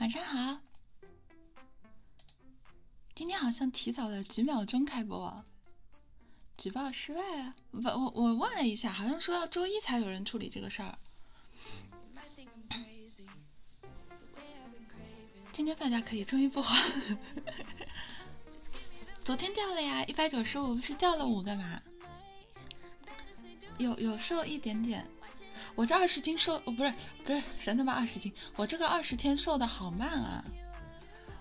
晚上好，今天好像提早了几秒钟开播。举报失败了，我我我问了一下，好像说要周一才有人处理这个事儿。今天放假可以，周一不好。昨天掉了呀，一百九十五是掉了五个嘛？有有瘦一点点，我这二十斤瘦，不是不是神他妈二十斤，我这个二十天瘦的好慢啊。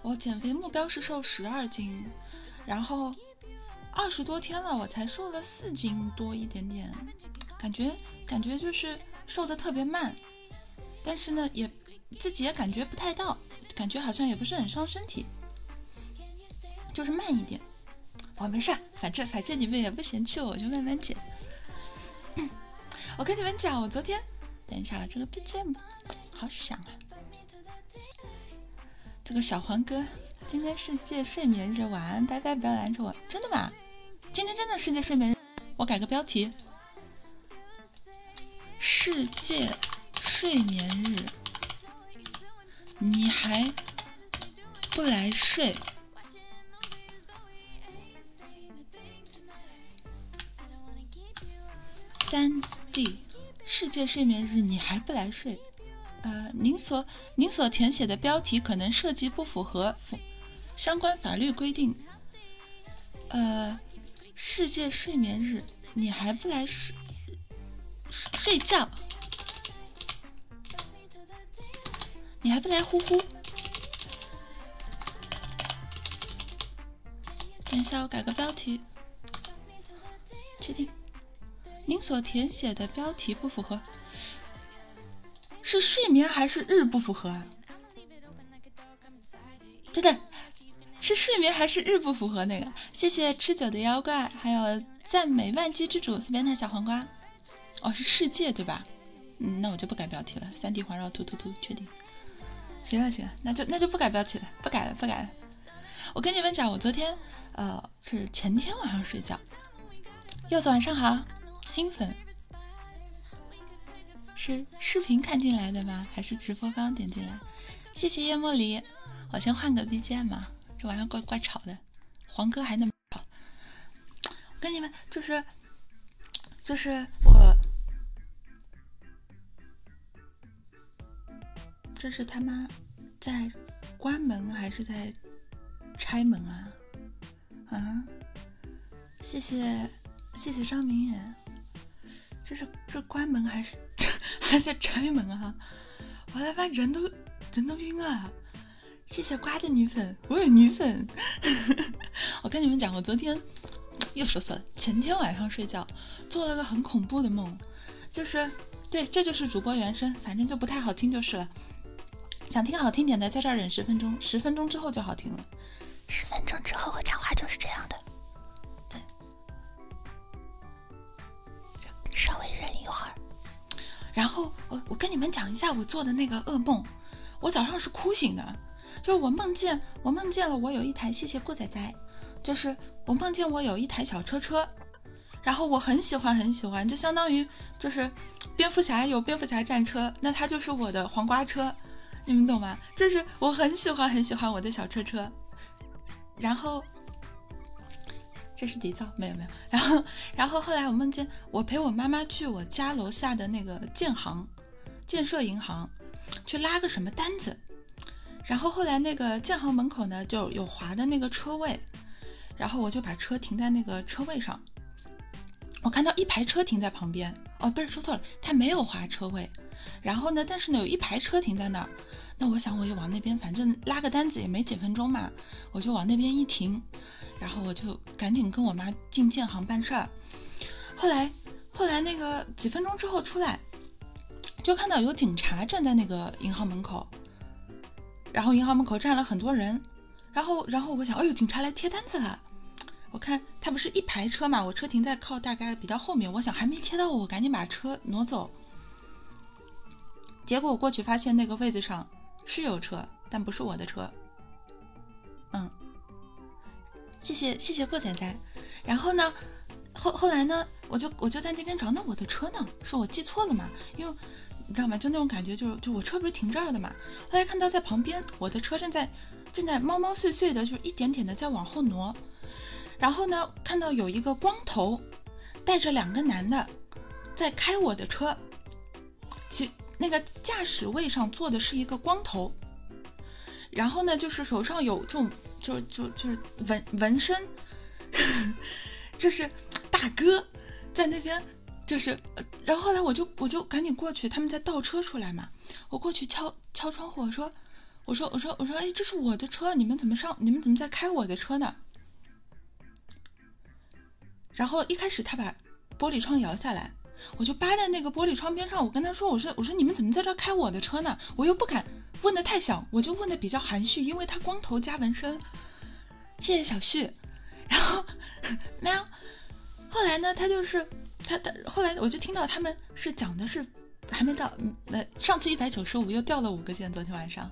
我减肥目标是瘦十二斤，然后二十多天了，我才瘦了四斤多一点点，感觉感觉就是瘦得特别慢，但是呢也自己也感觉不太到，感觉好像也不是很伤身体，就是慢一点。我没事，反正反正你们也不嫌弃我，就慢慢减。我跟你们讲，我昨天等一下，这个 BGM 好响啊。这个小黄哥，今天世界睡眠日，晚安，拜拜，不要拦着我，真的吗？今天真的世界睡眠日，我改个标题，世界睡眠日，你还不来睡？三 D。世界睡眠日，你还不来睡？呃，您所您所填写的标题可能涉及不符合相关法律规定。呃，世界睡眠日，你还不来睡睡觉？你还不来呼呼？等一下，我改个标题。确定，您所填写的标题不符合，是睡眠还是日不符合啊？等等，是睡眠还是日不符合那个？谢谢吃酒的妖怪，还有赞美万机之主，随便的小黄瓜。哦，是世界对吧？嗯，那我就不改标题了。三 D 环绕突突突，确定。行了行了，那就那就不改标题了，不改了不改了。我跟你们讲，我昨天呃是前天晚上睡觉。柚子晚上好，新粉是视频看进来的吗？还是直播刚刚点进来？谢谢叶莫离，我先换个 BGM，这玩意儿怪怪吵的。黄哥还那么吵。我跟你们就是就是我。这是他妈在关门还是在拆门啊？啊！谢谢谢谢张明远，这是这关门还是还是在拆门啊？我他妈人都人都晕了！谢谢瓜的女粉，我有女粉。我跟你们讲，我昨天又说错了。前天晚上睡觉做了个很恐怖的梦。就是，对，这就是主播原声，反正就不太好听就是了。想听好听点的，在这儿忍十分钟，十分钟之后就好听了。十分钟之后我讲话就是这样的，对，稍微忍一会儿。然后我我跟你们讲一下我做的那个噩梦，我早上是哭醒的，就是我梦见我梦见了我有一台谢谢顾仔仔，就是我梦见我有一台小车车。然后我很喜欢很喜欢，就相当于就是蝙蝠侠有蝙蝠侠战车，那它就是我的黄瓜车，你们懂吗？就是我很喜欢很喜欢我的小车车。然后这是底噪，没有没有。然后然后后来我梦见我陪我妈妈去我家楼下的那个建行建设银行去拉个什么单子。然后后来那个建行门口呢，就有划的那个车位，然后我就把车停在那个车位上。我看到一排车停在旁边，哦，不是说错了，他没有划车位。然后呢，但是呢有一排车停在那儿，那我想我也往那边，反正拉个单子也没几分钟嘛，我就往那边一停，然后我就赶紧跟我妈进建行办事儿。后来后来那个几分钟之后出来。就看到有警察站在那个银行门口，然后银行门口站了很多人，然后然后我想，哎呦，警察来贴单子了。我看他不是一排车嘛，我车停在靠大概比较后面，我想还没贴到我，我赶紧把车挪走。结果我过去发现那个位子上是有车，但不是我的车。嗯，谢谢谢谢顾仔仔。然后呢？后后来呢，我就我就在那边找，那我的车呢？是我记错了嘛？因为你知道吗？就那种感觉，就是就我车不是停这儿的嘛。后来看到在旁边，我的车正在正在猫猫碎碎的，就是一点点的在往后挪。然后呢，看到有一个光头带着两个男的在开我的车，其那个驾驶位上坐的是一个光头，然后呢，就是手上有这种。就就就是纹纹身，就 是大哥在那边，就是然后来我就我就赶紧过去，他们在倒车出来嘛，我过去敲敲窗户，我说我说我说我说哎，这是我的车，你们怎么上你们怎么在开我的车呢？然后一开始他把玻璃窗摇下来，我就扒在那个玻璃窗边上，我跟他说，我说我说你们怎么在这开我的车呢？我又不敢。问的太小，我就问的比较含蓄，因为他光头加纹身，谢谢小旭。然后喵，后来呢，他就是他他，后来我就听到他们是讲的是还没到，呃，上次一百九十五又掉了五个键，昨天晚上。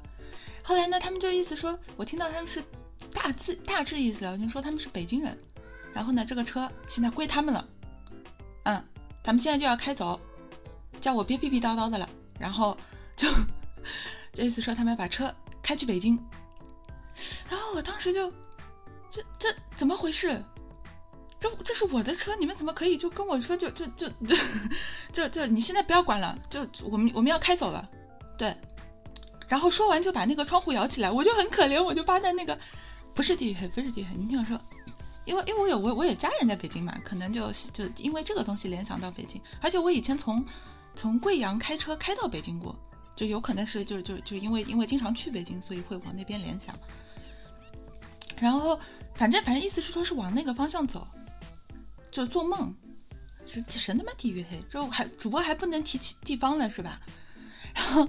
后来呢，他们就意思说我听到他们是大致大致意思了，就说他们是北京人，然后呢，这个车现在归他们了，嗯，他们现在就要开走，叫我别逼逼叨叨的了。然后就 这思说他们要把车开去北京，然后我当时就这这怎么回事？这这是我的车，你们怎么可以就跟我说就就就就就就你现在不要管了，就我们我们要开走了。对，然后说完就把那个窗户摇起来，我就很可怜，我就扒在那个不是地黑，不是地黑，你听我说，因为因为我有我我有家人在北京嘛。可能就就因为这个东西联想到北京，而且我以前从从贵阳开车开到北京过，就有可能是就是就是就因为因为经常去北京，所以会往那边联想。然后反正反正意思是说是往那个方向走，就做梦，神他妈地狱黑，就还主播还不能提起地方了是吧？然后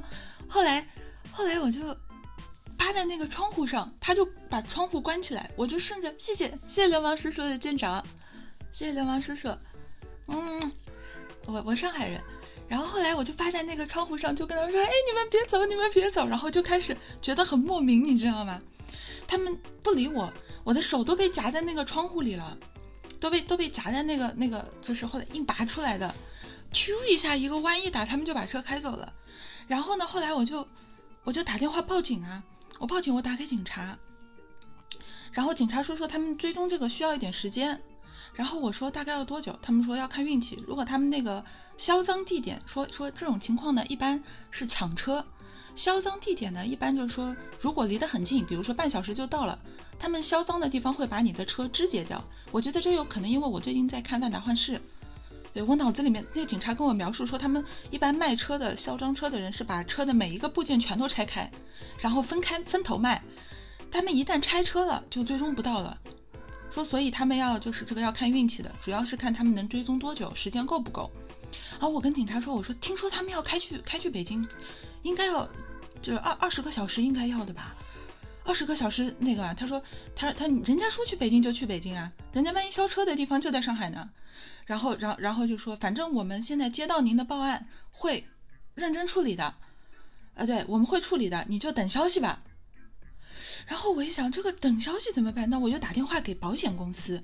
后来后来我就趴在那个窗户上，他就。把窗户关起来，我就顺着。谢谢谢谢流氓叔叔的舰长，谢谢流氓叔叔。嗯，我我上海人，然后后来我就趴在那个窗户上，就跟他们说：“哎，你们别走，你们别走。”然后就开始觉得很莫名，你知道吗？他们不理我，我的手都被夹在那个窗户里了，都被都被夹在那个那个，就是后来硬拔出来的，咻一下一个弯一打，他们就把车开走了。然后呢，后来我就我就打电话报警啊。我报警，我打给警察，然后警察说说他们追踪这个需要一点时间，然后我说大概要多久，他们说要看运气。如果他们那个销赃地点说说这种情况呢，一般是抢车，销赃地点呢一般就是说如果离得很近，比如说半小时就到了，他们销赃的地方会把你的车肢解掉。我觉得这有可能，因为我最近在看《万达幻视》。对我脑子里面，那警察跟我描述说，他们一般卖车的、销赃车的人是把车的每一个部件全都拆开，然后分开分头卖。他们一旦拆车了，就追踪不到了。说，所以他们要就是这个要看运气的，主要是看他们能追踪多久，时间够不够。然后我跟警察说，我说听说他们要开去开去北京，应该要就二二十个小时应该要的吧？二十个小时那个，啊，他说他他人家说去北京就去北京啊，人家万一销车的地方就在上海呢？然后，然然后就说，反正我们现在接到您的报案，会认真处理的，啊，对，我们会处理的，你就等消息吧。然后我一想，这个等消息怎么办？那我就打电话给保险公司。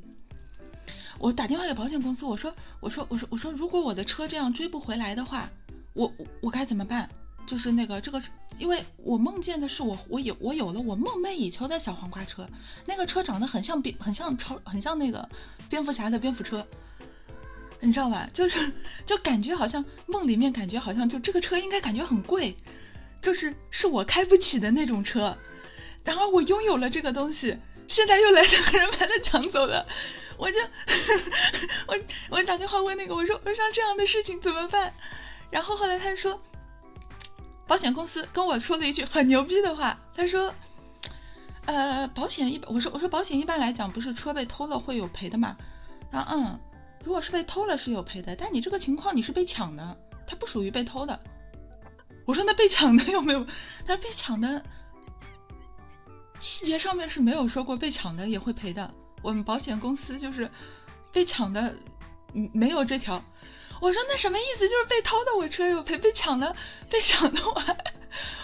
我打电话给保险公司，我说，我说，我说，我说，如果我的车这样追不回来的话，我我该怎么办？就是那个这个，因为我梦见的是我，我有我有了我梦寐以求的小黄瓜车。那个车长得很像蝙，很像超，很像那个蝙蝠侠的蝙蝠车，你知道吧？就是，就感觉好像梦里面，感觉好像就这个车应该感觉很贵，就是是我开不起的那种车。然而我拥有了这个东西，现在又来两个人把它抢走了，我就 我我打电话问那个，我说我像这样的事情怎么办？然后后来他就说。保险公司跟我说了一句很牛逼的话，他说：“呃，保险一，我说我说保险一般来讲不是车被偷了会有赔的嘛？啊嗯，如果是被偷了是有赔的，但你这个情况你是被抢的，它不属于被偷的。”我说：“那被抢的有没有？”他说：“被抢的细节上面是没有说过被抢的也会赔的，我们保险公司就是被抢的没有这条。”我说那什么意思？就是被偷的我车又赔，被抢了，被抢的我。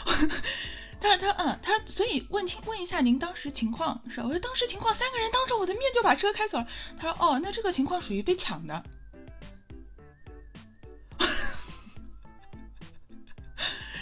他说他说嗯，他说所以问清问一下您当时情况是？我说当时情况三个人当着我的面就把车开走了。他说哦，那这个情况属于被抢的。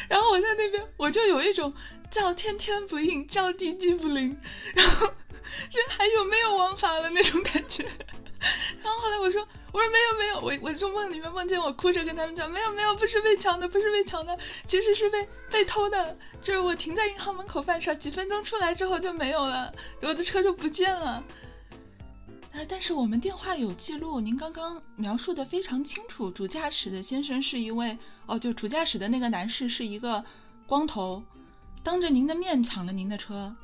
然后我在那边我就有一种叫天天不应，叫地地不灵，然后。人还有没有王法了那种感觉？然后后来我说：“我说没有没有，我我就梦里面梦见我哭着跟他们讲，没有没有，不是被抢的，不是被抢的，其实是被被偷的。就是我停在银行门口犯傻，几分钟出来之后就没有了，我的车就不见了。”但是我们电话有记录，您刚刚描述的非常清楚。主驾驶的先生是一位哦，就主驾驶的那个男士是一个光头。当着您的面抢了您的车，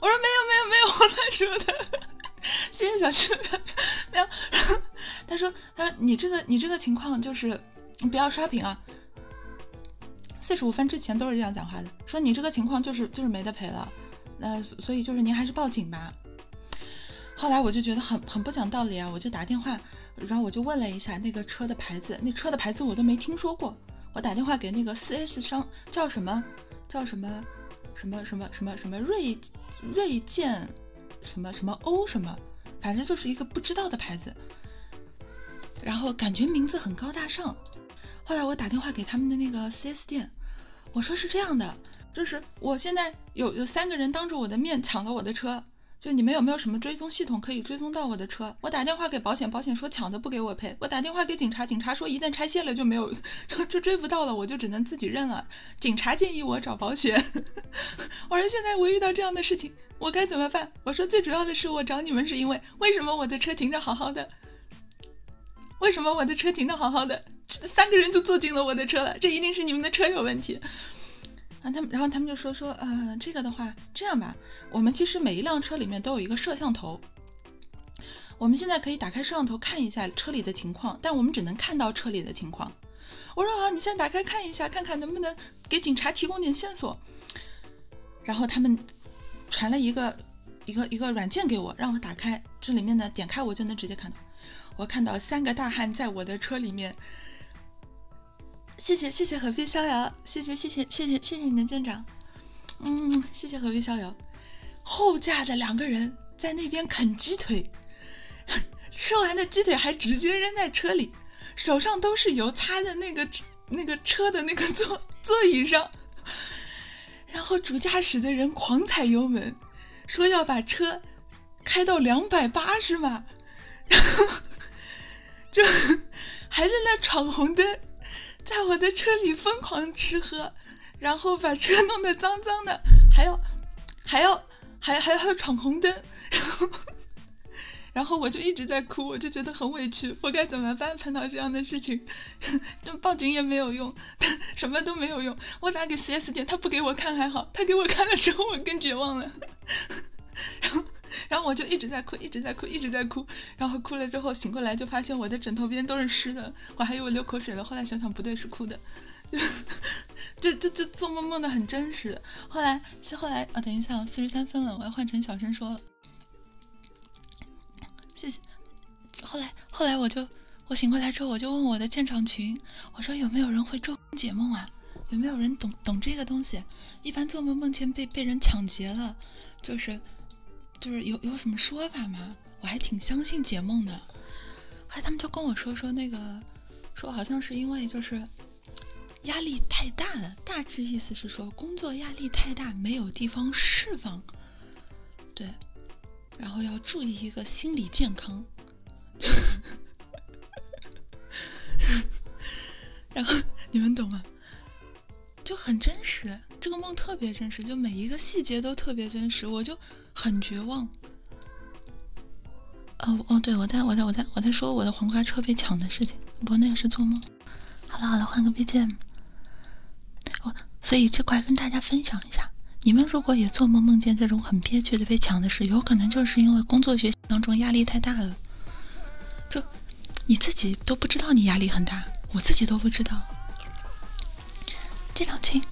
我说没有没有没有，我乱说的。谢谢小旭，没有。他说他说你这个你这个情况就是不要刷屏啊。四十五分之前都是这样讲话的，说你这个情况就是就是没得赔了。那所以就是您还是报警吧。后来我就觉得很很不讲道理啊，我就打电话，然后我就问了一下那个车的牌子，那车的牌子我都没听说过。我打电话给那个四 S 商，叫什么？叫什么？什么什么什么什么锐锐剑？什么什么欧什么？反正就是一个不知道的牌子。然后感觉名字很高大上。后来我打电话给他们的那个四 S 店，我说是这样的，就是我现在有有三个人当着我的面抢了我的车，就你们有没有什么追踪系统可以追踪到我的车？我打电话给保险，保险说抢的不给我赔。我打电话给警察，警察说一旦拆卸了就没有，就就追不到了，我就只能自己认了。警察建议我找保险，我说现在我遇到这样的事情，我该怎么办？我说最主要的是我找你们是因为为什么我的车停着好好的，为什么我的车停的好好的，三个人就坐进了我的车了，这一定是你们的车有问题啊。他们然后他们就说说呃这个的话这样吧，我们其实每一辆车里面都有一个摄像头。我们现在可以打开摄像头看一下车里的情况，但我们只能看到车里的情况。我说：“好，你先打开看一下，看看能不能给警察提供点线索。”然后他们传了一个一个一个软件给我，让我打开。这里面呢，点开我就能直接看到。我看到三个大汉在我的车里面。谢谢谢谢何必逍遥，谢谢谢谢谢谢谢谢你的舰长。嗯，谢谢何必逍遥。后驾的两个人在那边啃鸡腿，吃完的鸡腿还直接扔在车里，手上都是油，擦在那个那个车的那个座座椅上。然后主驾驶的人狂踩油门，说要把车开到两百八十码，然后就还在那闯红灯，在我的车里疯狂吃喝。然后把车弄得脏脏的，还要还要还还要闯红灯，然后然后我就一直在哭，我就觉得很委屈，我该怎么办？碰到这样的事情，就报警也没有用，什么都没有用。我打给四 S 店，他不给我看还好，他给我看了之后，我更绝望了。然后然后我就一直在哭，一直在哭，一直在哭。然后哭了之后醒过来，就发现我的枕头边都是湿的。我还以为流口水了，后来想想不对，是哭的，就就就做梦梦的很真实。后来是后来啊，等一下，我四十三分了，我要换成小声说了，谢谢。后来后来我就我醒过来之后，我就问我的建厂群，我说有没有人会做解梦啊？有没有人懂懂这个东西？一般做梦梦见被被人抢劫了，就是就是有有什么说法吗？我还挺相信解梦的，后来他们就跟我说说那个，说好像是因为就是压力太大了，大致意思是说工作压力太大，没有地方释放，对，然后要注意一个心理健康，然后你们懂吗？就很真实，这个梦特别真实，就每一个细节都特别真实，我就很绝望。哦哦，对，我在我在我在我在说我的黄瓜车被抢的事情，不过那个是做梦。好了好了，换个 BGM。我所以这块跟大家分享一下，你们如果也做梦梦见这种很憋屈的被抢的事，有可能就是因为工作学习当中压力太大了，就你自己都不知道你压力很大，我自己都不知道。进两群，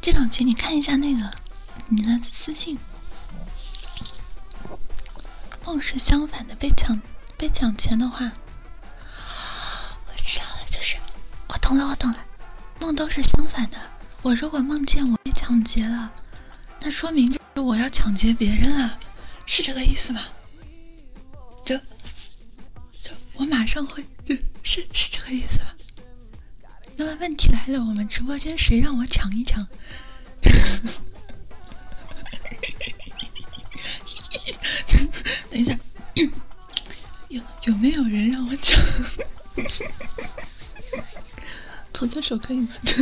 进两群，你看一下那个你的私信。梦是相反的，被抢被抢钱的话，我知道了，就是我懂了，我懂了，梦都是相反的。我如果梦见我被抢劫了，那说明就是我要抢劫别人了，是这个意思吧？这这，我马上会，是是这个意思吧？那么问题来了，我们直播间谁让我抢一抢？等一下，有有没有人让我抢？从这首歌以吗？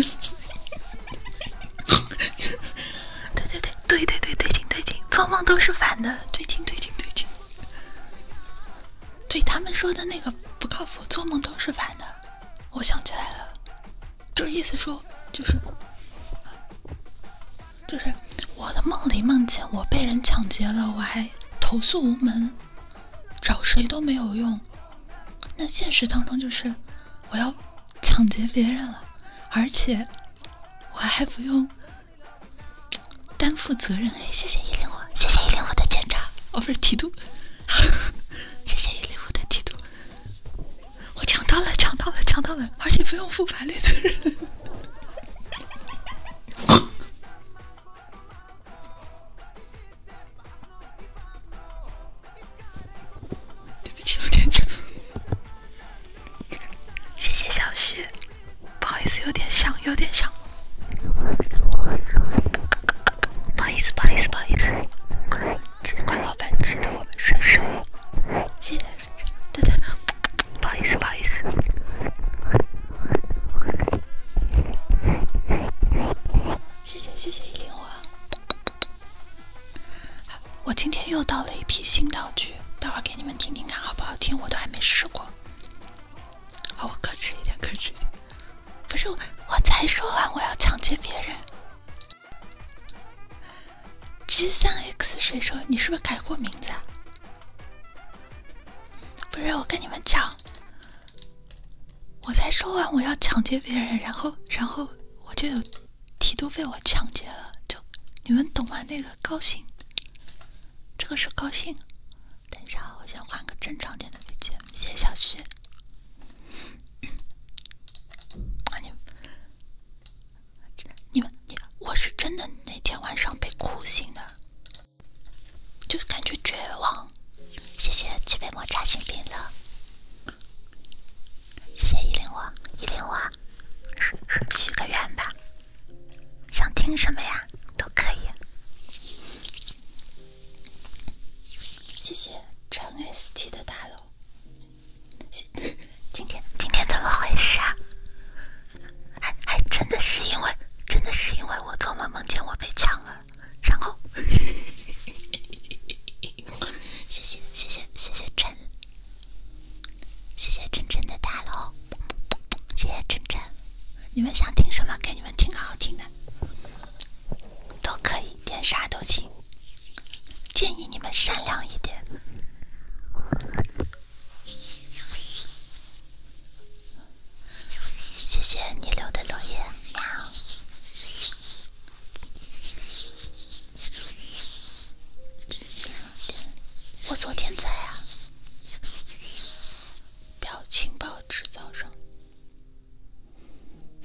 对对对对对对对，进对进，做梦都是反的，对进对进对进。对他们说的那个不靠谱，做梦都是反的。我想起来了，就是意思说，就是就是我的梦里梦见我被人抢劫了，我还投诉无门，找谁都没有用。那现实当中就是我要抢劫别人了，而且我还不用。担负责任，谢谢一零五，谢谢一零五的检查，哦不是提督，谢谢一零五的提督，我抢到了，抢到了，抢到了，而且不用负法律责任。对不起，老点。谢谢小雪，不好意思，有点像，有点像。不好意思，不好意思，不好意思。只怪老板，记得我们顺手。谢谢顺手，不好意思，不好意思。谢谢谢谢依林花，我今天又到了一批新道具。待会儿给你们听听看好不好听，我都还没试过。好，我克制一点，克制一点。不是，我才说完我要抢劫别人。G 三 X 水手，你是不是改过名字？不是，我跟你们讲，我才说完我要抢劫别人，然后，然后我就有提督被我抢劫了，就你们懂吗？那个。高兴，这个是高兴。等一下，我先换个正常点的背景。谢谢小徐。啊你，你们，你，我是真的那天晚上被哭醒的，就是感觉绝望。谢谢七杯抹茶新品的，谢谢一零我，一零我，许个愿吧。想听什么呀？都可以。谢谢陈 st 的大楼。今天今天怎么回事啊？还还真的是因为真的是因为我做梦梦见我被抢了，然后。谢谢谢谢谢谢陈。谢谢真真的大楼，谢谢真真，你们想听什么？给你们听个好听的，都可以点啥都行，建议你们善良一点。谢谢你留的留言，喵。我昨天在啊，表情包制造商。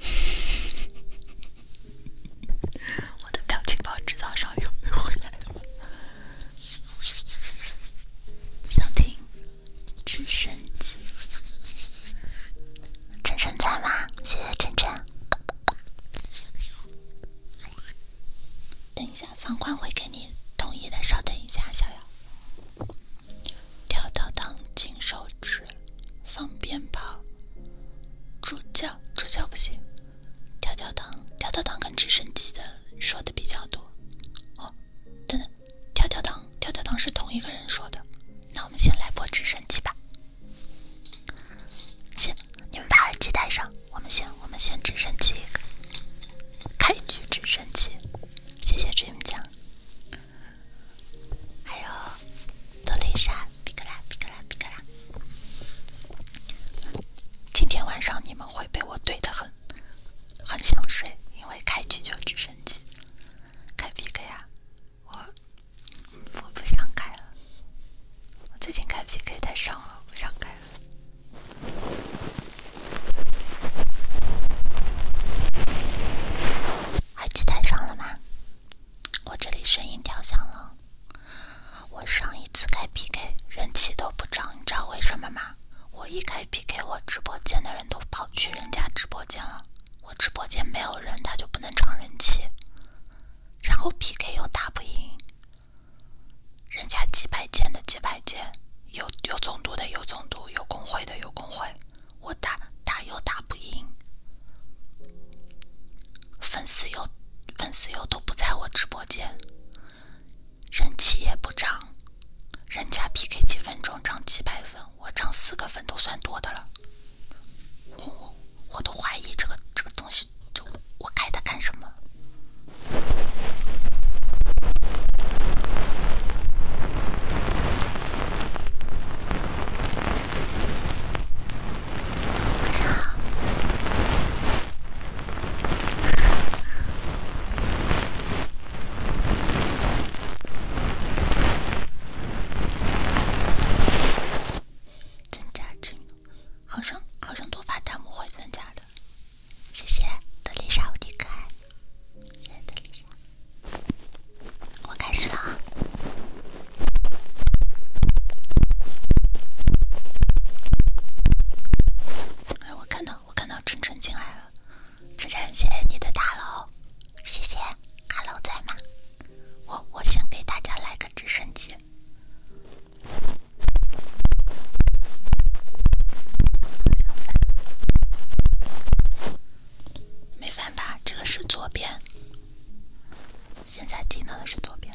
我的表情包制造商有没有回来？想听直升机。晨晨在吗？谢谢晨晨。等一下。房管会给你同意的，稍等一下，小瑶。跳跳糖、金手指、放鞭炮、助教、助教不行。跳跳糖、跳跳糖跟直升机的说的比较多。哦，等等，跳跳糖、跳跳糖是同一个人说的，那我们先来播直升机吧。行，你们把耳机戴上，我们先。我们先直升机开局直升机，谢谢 dream 酱，还有多丽莎，皮克拉，皮克拉，皮克拉。今天晚上你们会被我怼的很，很想睡，因为开局就直升机，开 PK 啊，我我不想开了，我最近开 PK 太伤了，不想开了。耳机戴上了吗？我这里声音调小了。我上一次开 PK 人气都不涨，你知道为什么吗？我一开 PK，我直播间的人都跑去人家直播间了，我直播间没有人，他就不能涨人气。然后 PK 又打不赢。人家几百件的几百件，有有总督的有总督，有工会的有工会，我打打又打不赢，粉丝又粉丝又都不在我直播间，人气也不涨，人家 PK 几分钟涨几百粉，我涨四个粉都算多的了，我我都怀疑这个这个东西就。我开它干什么？增加好像好像多发弹幕会增加的。谢谢德丽莎，无敌可爱！谢谢德丽莎，我开始了啊！哎，我看到我看到晨晨进来了，晨晨，谢谢你的大楼，谢谢。哈喽，在吗？我我想给大家来个直升机。没翻吧？这个是左边，现在听到的是左边。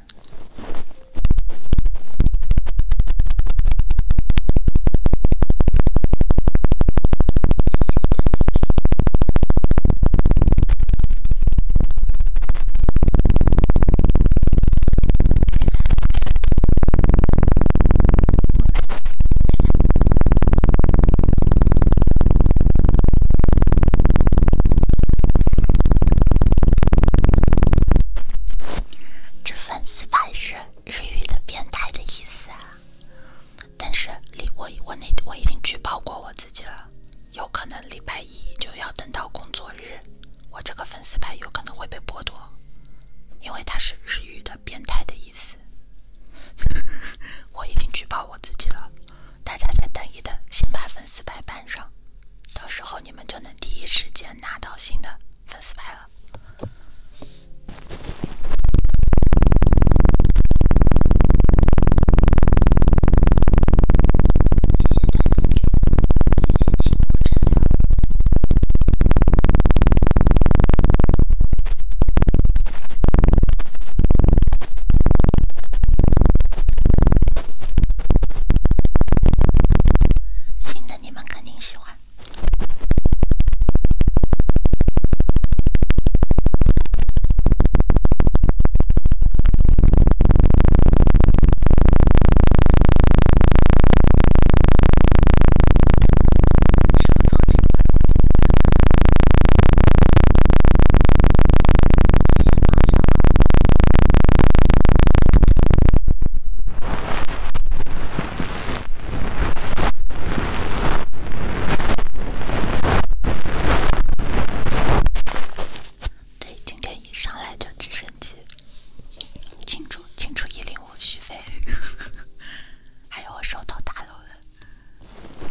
这粉丝牌是日语的“变态”的意思啊！但是，礼我我那我已经举报过我自己了，有可能礼拜一就要等到工作日。日，我这个粉丝牌有可能会被剥夺，因为它是日语的“变态”的意思。我已经举报我自己了，大家再等一等，先把粉丝牌办上，到时候你们就能第一时间拿到新的粉丝牌了。谢谢段子君。剪辑我真牛，新的你们肯定喜欢。对，今天一上来就直接。庆祝庆祝一零五续费，还有我收到大楼的。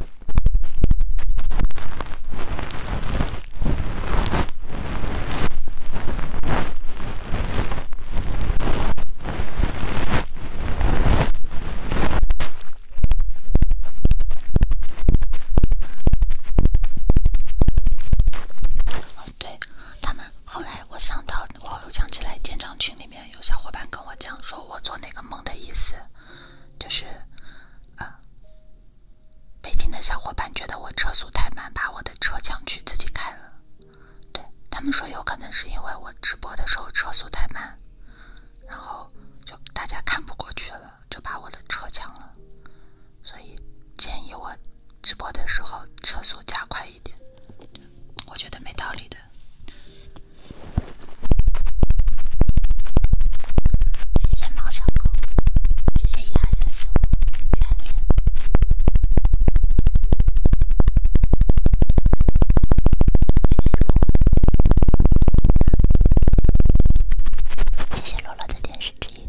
哦，对他们。后来我想到，我又想起来，建章群里面有小伙伴跟我讲，说我做那个梦的意思，就是，呃，北京的小伙伴觉得我车速太慢，把我的车抢去自己开了。对他们说，有可能是因为我直播的时候车速太慢，然后就大家看不过去了，就把我的车抢了。所以建议我直播的时候车速加快。我觉得没道理的。谢谢猫小狗，谢谢一二三四五，欢迎谢谢露，谢谢露露的电视指引。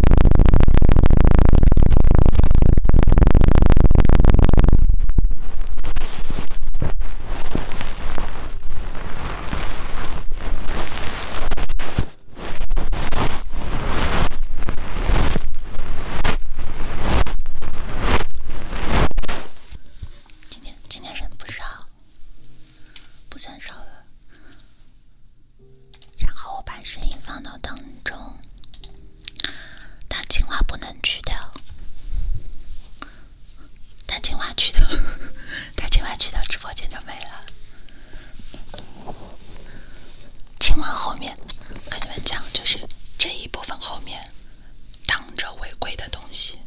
今天今天人不少，不算少了。然后我把声音放到当中，但青蛙不能去掉，但青蛙去掉，但 青蛙去掉，直播间就没了。青蛙后面，跟你们讲，就是这一部分后面挡着违规的东西，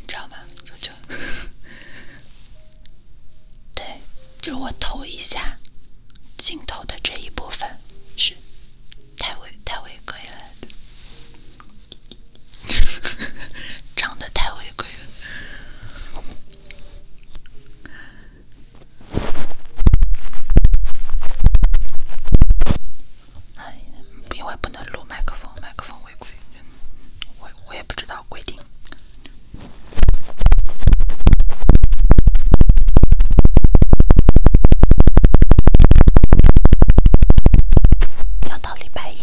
你知道吗？这就 对。就我头一下，镜头的这一部分是太违太违规了 长得太违规了。哎，因为不能录麦克风，麦克风违规，我我也不知道规定。要到礼拜一。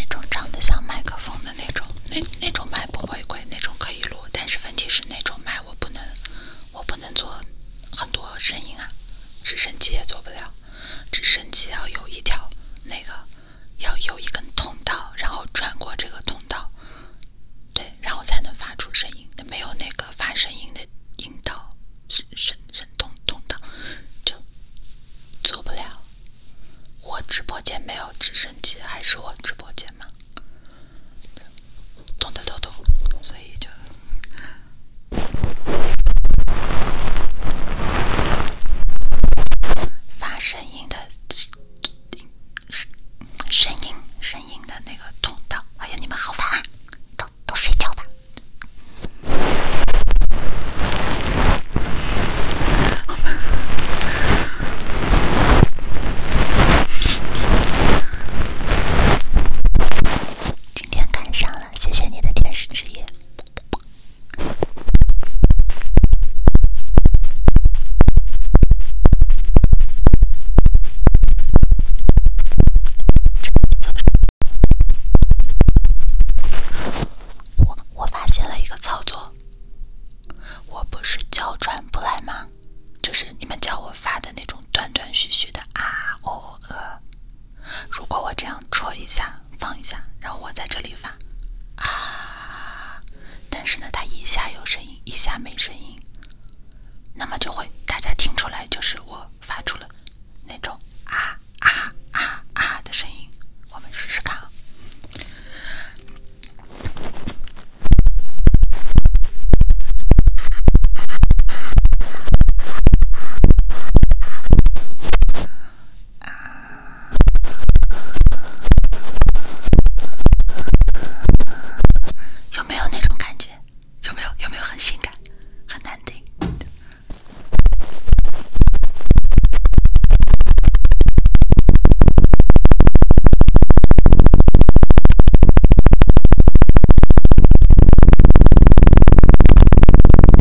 那种长得像麦克风的那种，那那种麦不违规，那种可以录，但是问题是那种麦我不能，我不能做很多声音啊，直升机也做不了。直升机要有一条，那个要有一根通道，然后穿过这个通道，对，然后才能发出声音。没有那个发声音的引导，声声通通道就做不了。我直播间没有直升机，还是我直播间吗？懂的都懂，所以就。发声音的声声音声音的那个通道，哎呀，你们好烦啊！都都睡觉吧。今天赶上了，谢谢你的天使之夜。怎么？我发现了一个操作，我不是教转不来吗？就是你们叫我发的那种断断续续的啊哦呃。如果我这样戳一下、放一下，然后我在这里发啊，但是呢，它一下有声音，一下没声音，那么就会大家听出来，就是我发出了那种啊啊啊啊的声音。我们试试看啊。有没有那种感觉？有没有？有没有很性感、很男丁？是，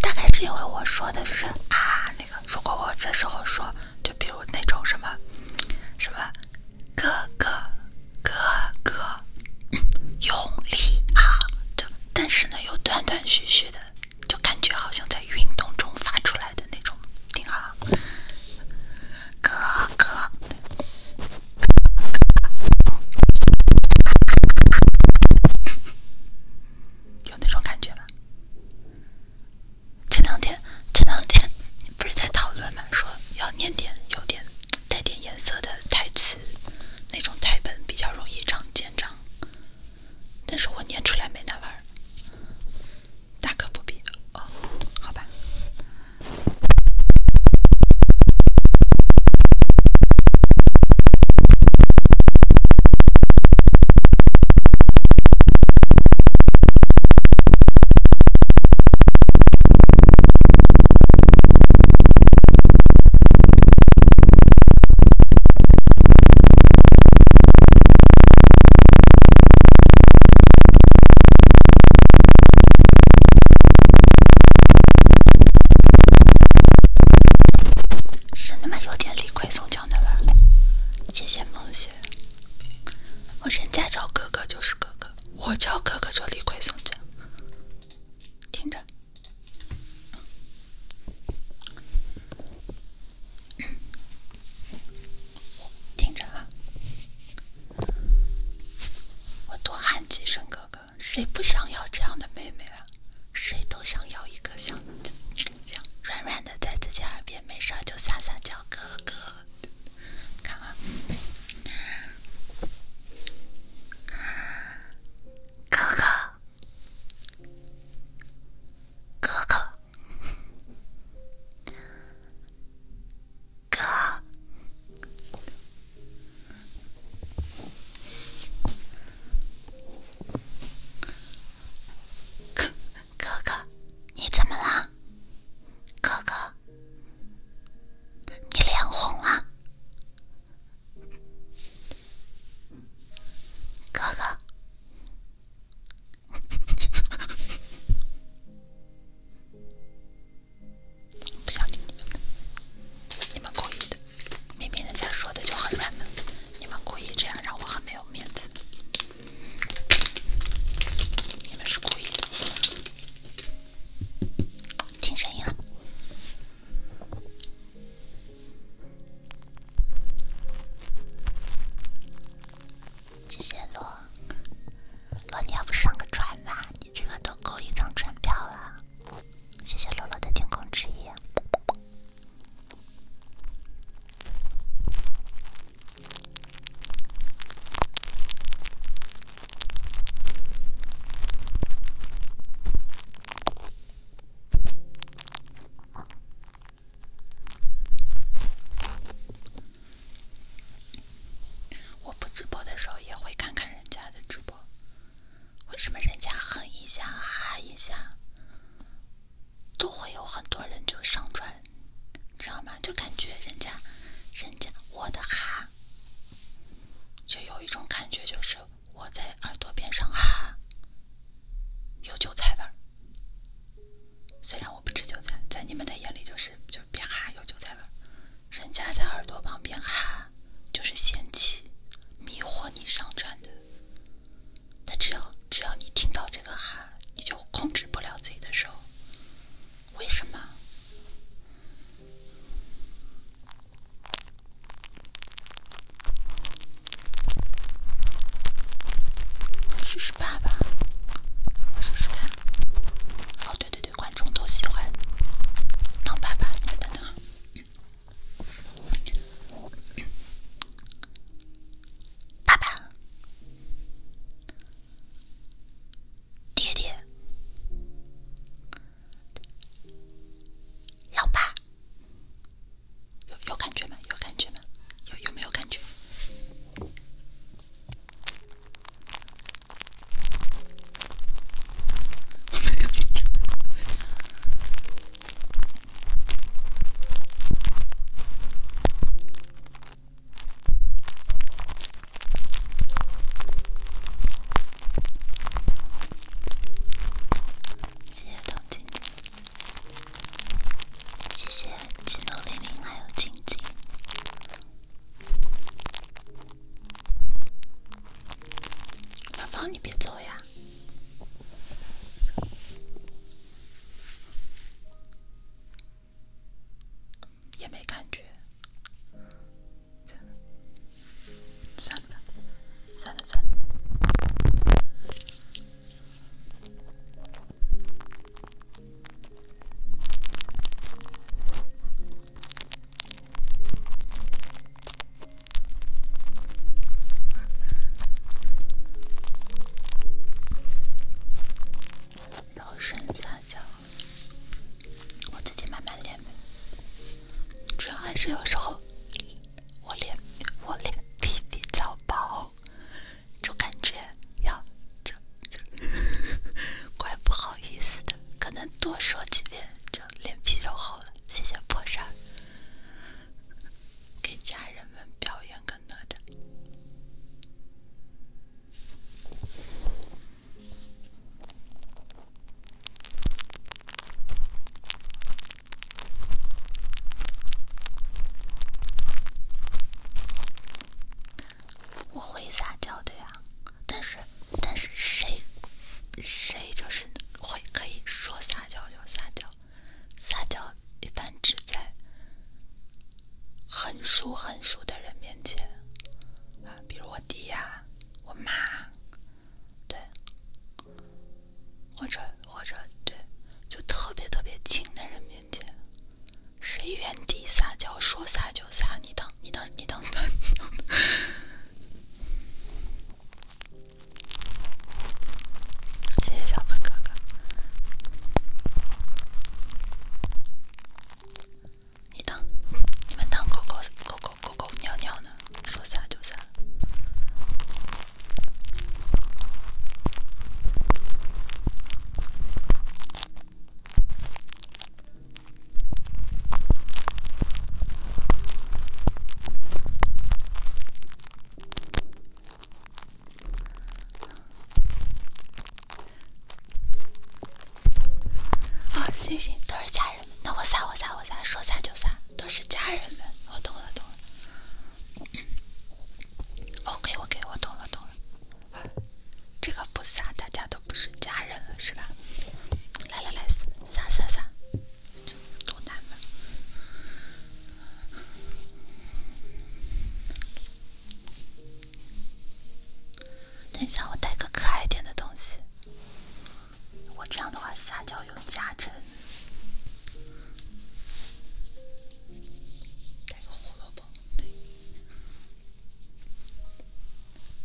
大概是因为我说的是啊，那个，如果我这时候说，就比如那种什么，什么哥哥哥哥，用力啊！这。但是呢，又断断续续的，就感觉好像在运动中发出来的那种，听啊，哥哥，有那种感觉吧？前两天，前两天不是在讨论吗？说要念点有点带点颜色的台词，那种台本比较容易长见长。但是我念出来没那味儿，大可不必。哦，好吧。是那么有点李逵宋江的味儿，谢谢梦雪。我人家叫哥哥就是哥哥，我叫哥哥就李逵宋江。听着。听着啊，我多喊几声哥哥，谁不想要这样的妹妹啊？谁都想要一个像这样软软的，在自己耳边没事就撒撒娇哥哥。看啊，哥哥。哥哥，哥，哥，哥哥，你怎么了？哥哥，你脸红了。哥哥，不想理你们，你们故意的。明明人家说的就很软萌，你们故意这样让我很没有面子。你们是故意。的，听声音了。谢谢座，罗，你要不上个船吧？你这个都够一张船票了。谢谢罗罗的天空之翼。我不直播的时候也会看看人家的直播，为什么人家哼一下、哈一下，都会有很多人就上传，知道吗？就感觉人家，人家我的哈，就有一种感觉就是。我在耳朵边上哈，有韭菜味儿。虽然我不吃韭菜，在你们的眼里就是就是别哈，有韭菜味儿。人家在耳朵旁边哈，就是仙气，迷惑你上传的。但只要只要你听到这个哈，你就控制不了自己的手。为什么？试试爸爸，我试试看。哦，对对对，观众都喜欢当爸爸。你等等，爸爸，爹爹。老爸，有有感觉吗？有感觉吗？有有没有感觉？谢谢董静静，谢谢金豆玲玲还有静静，芳芳你别走呀，也没感觉。算了，算了然后剩下娇，我自己慢慢练呗。主要还是有时候。我脸我脸皮比较薄，就感觉要就怪不好意思的，可能多说几遍就脸皮就厚了。谢谢破山给家人们表演个哪吒。我会撒娇的呀，但是，但是谁，谁就是会可以说撒娇就撒娇，撒娇一般只在很熟很熟的人面前，啊，比如我弟呀，我妈，对。或者或者对，就特别特别亲的人面前，谁原地撒娇，说撒就撒，你当你当你当撒娇。谢谢小鹏哥哥，你当你们当狗狗狗狗狗狗尿尿。说散就散。啊，行行，都是家人，们。那我散，我散，我散，说散就散，都是家人们，我懂了，懂了。OK，OK，我懂了，懂了。这个不撒，大家都不是家人了，是吧？来来来，撒撒撒等一下，我带个可爱点的东西。我这样的话撒娇有加成，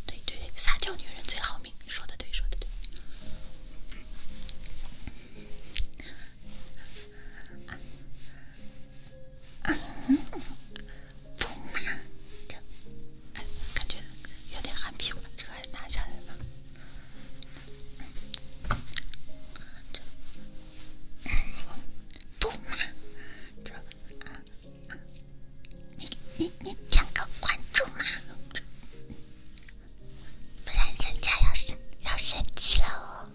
对对，撒娇女人最好命，说的对，说的对。拿下来了。不嘛，你你你点个关注嘛，不然人家要生要生气了哦。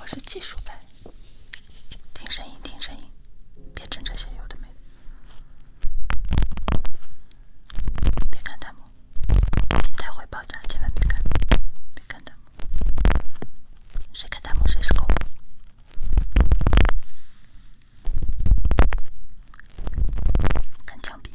我是技术派，听声音，听声音，别整这些有的没别看弹幕，心态会爆炸，千万别看，别看弹幕，谁看弹幕谁是狗。看枪毙。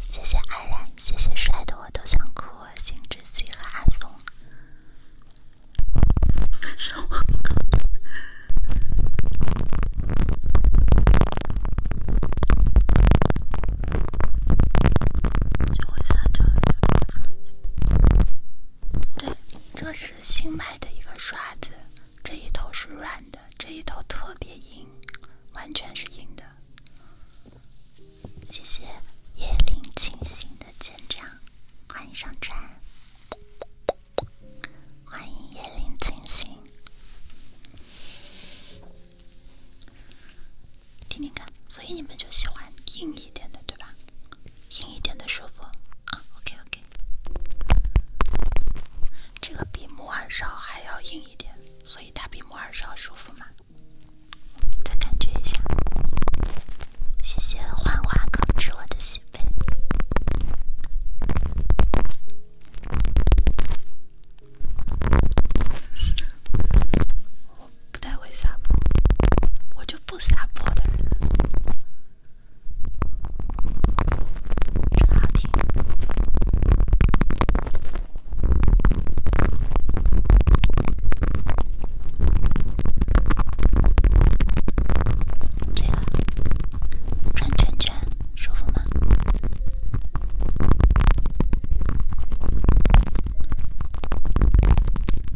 谢谢安然，谢谢帅的我都想哭，星之息和阿松。对，这是新买的一个刷子，这一头是软。这一头特别硬，完全是硬的。谢谢叶林清醒的舰长，欢迎上船，欢迎叶林清醒。听听看，所以你们就喜欢硬一点的，对吧？硬一点的舒服 OK OK。这个比木耳勺还要硬一点，所以它比木耳勺舒服嘛。再感觉一下。谢谢幻花哥知我的心扉。我不太会撒泼，我就不撒泼的人。真好听，这个转圈圈舒服吗？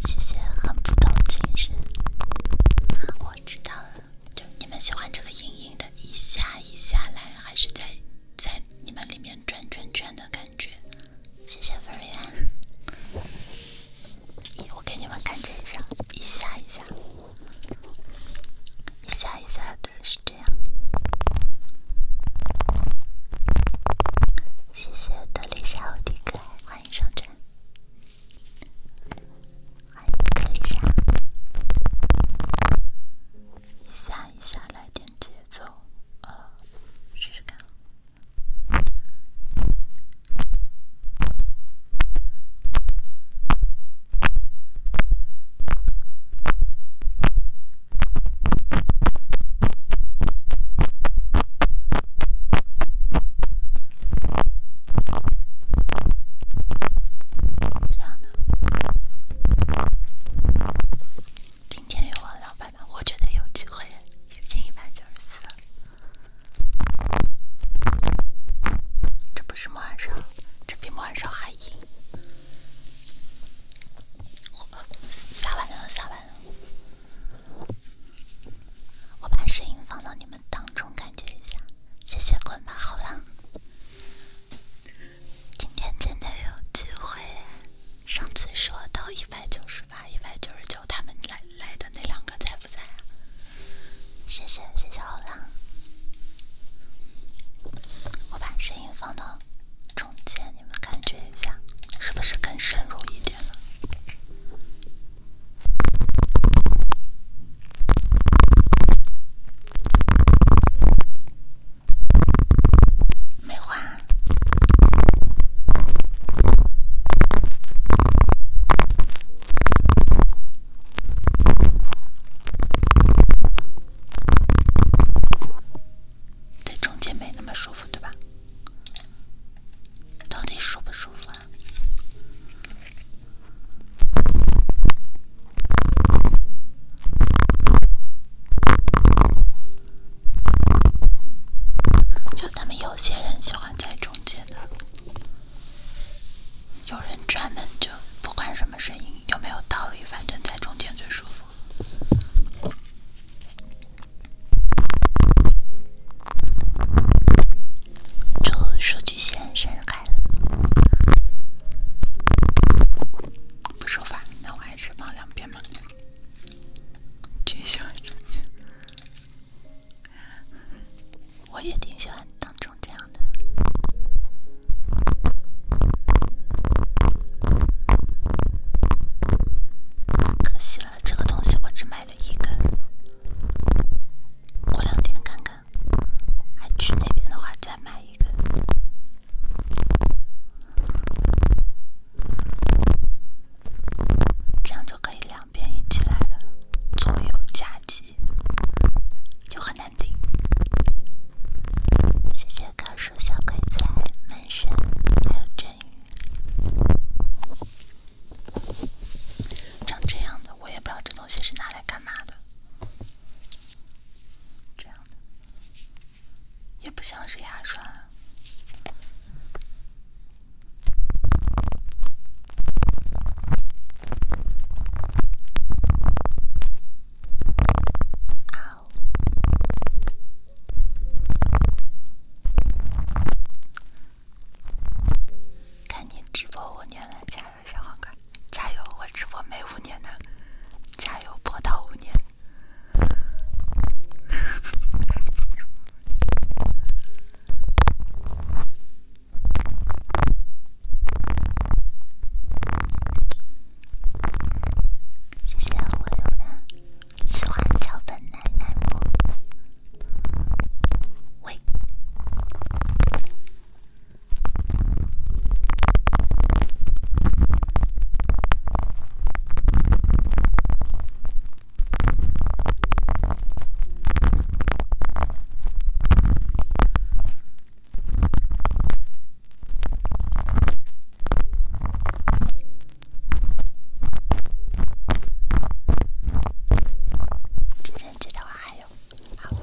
谢谢汉普顿精神，我知道了。就你们喜欢这个硬硬的，一下一下来，还是在在你们里面转圈圈的感觉？谢谢粉颜，我给你们看这一张，一下一下，一下一下的是这样。谢谢德丽莎欧弟可爱，欢迎上阵。欢迎丽一下一下来点节奏，呃，试试看，这样。今天又往两百了，我觉得有机会，已经一百九十四了。这不是尔砂，这比尔砂还硬。下完了，下完了。我把声音放到你们当中，感觉一下。谢谢关麦，好了。今天真的有机会！上次说到一百九十八、一百九十九，他们来来的那两个在不在啊？谢谢，谢谢老狼。我把声音放到中间，你们感觉一下，是不是更深入一点了？没换，在中间没那么舒服，对吧？到底舒不舒服啊？就他们有些人喜欢在中间的，有人专门就不管什么声音有没有道理，反正在中间最舒服。祝数据线生日快乐！不说话，那我还是放两遍吧。巨喜欢，我也挺喜欢当中这样的。可惜了，这个东西我只买了一根，过两天看看。哎，去那边的话，再买一个，这样就可以两边一起来了，左右夹击，就很难顶。谢谢卡叔、小鬼仔、门神还有振宇，长这样的，我也不知道这东西是拿来干嘛的。这样的也不像是牙刷。看你直播，我念来掐。小黄瓜，加油！我直播没五年呢，加油播到五年。谢谢我有喜欢脚本奶奶不？喂。还有，好，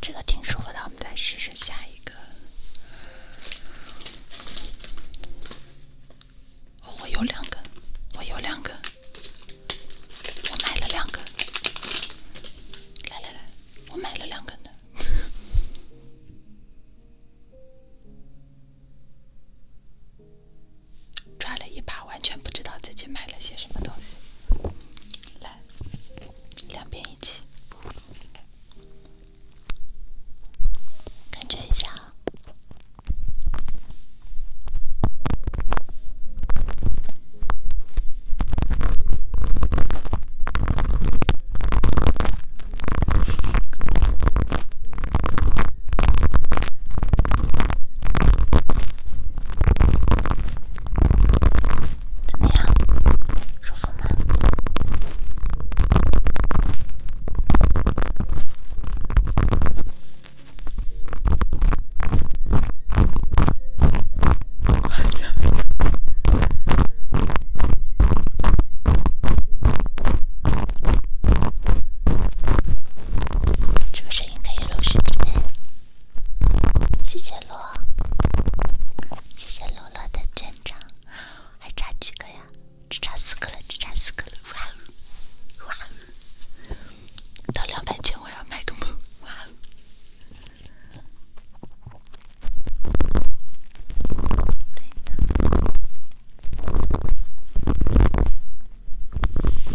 这个挺舒服的，我们再试试下一个。我有两个，我有两个，我买了两根。来来来，我买了两根的。抓了一把，完全不知道自己买了些什么东西。来，两边一起。感觉一下。怎么样？舒服吗？这个声音可以录视频。谢谢罗，谢谢罗罗的赞赏。还差几个呀？只差四个了，只差四个了！哇哦，哇哦！到两百级我要买个梦！哇哦！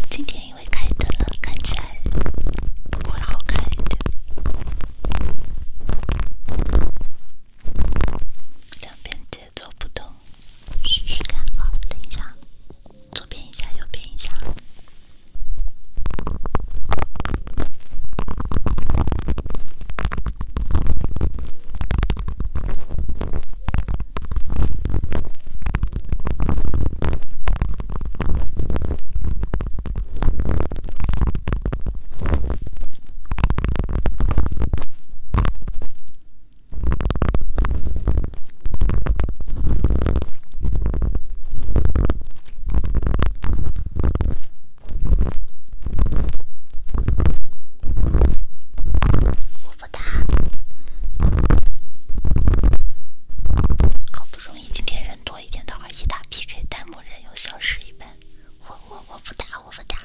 今天因为开灯了，看起来会好看一点。两边节奏不同，试试看。好，等一下，左边一下，右边一下。我不打，好不容易今天人多一点，等会一打 PK，弹幕人又消失一半。我我我不打我不打，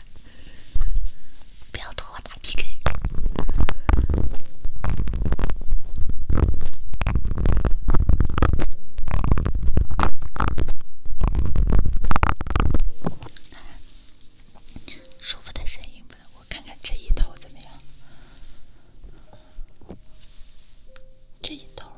不要同我打 P K。舒服的声音不能，我看看这一头怎么样，这一头。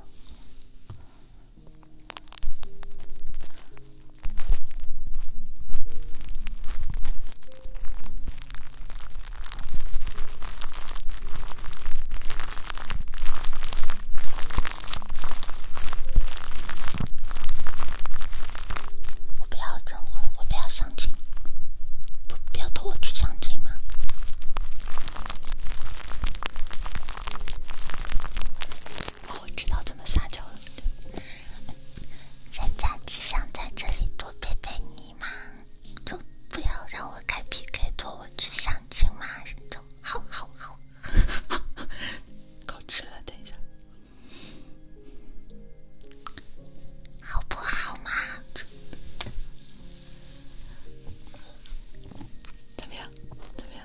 我不要征婚，我不要相亲，不不要拖我去相亲吗？我知道怎么撒娇了。人家只想在这里多陪陪你嘛，就不要让我开 PK，拖我去相亲嘛，就好好好，够吃了，等一下，好不好嘛？怎么样？怎么样？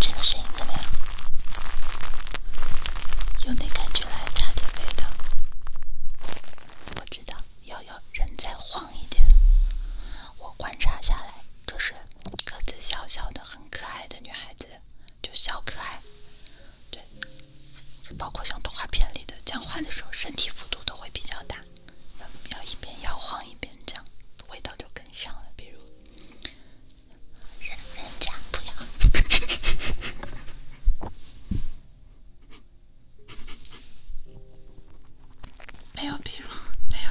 这个声音怎么样？用那感觉来插点味道。我知道，要要人再晃一点。我观察下来，这是个子小小的、很可爱的女孩子，就小可爱。对，包括像动画片里的，讲话的时候身体幅度都会比较大。要一边摇晃一边讲，味道就更香了。比如，人家不要，没有，比如没有。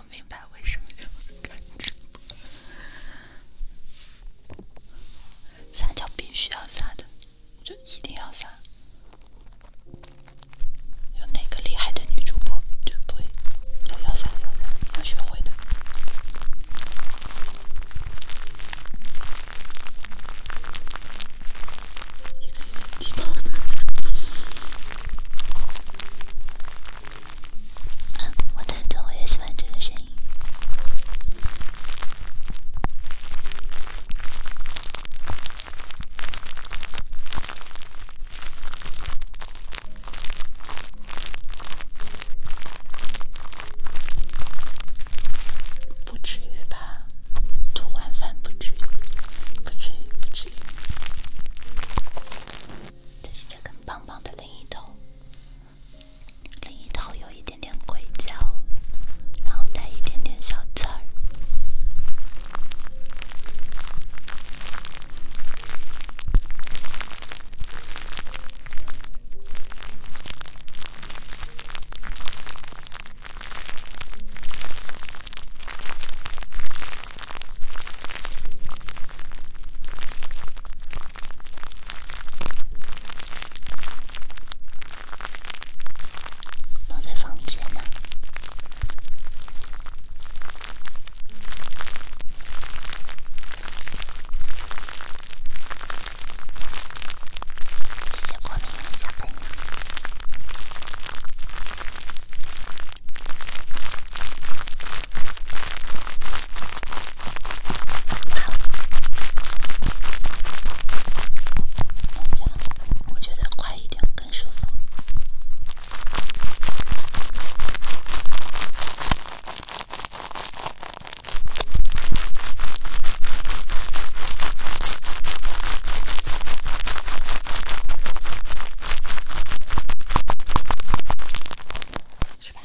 我明白为什么要撒娇，撒娇必须要撒的，就一定要撒。有哪个厉害的女主播就不会要要撒要撒，要学会的。一个一个地方。我弹奏，我也喜欢这个声音，不至于吧？完饭不至于，不至于，不至于。这是这根棒棒的另一头，另一头有一点点硅胶，然后带一点点小刺。我在房间呢。谢谢国民小朋友们。我觉得快一点更舒服。是吧？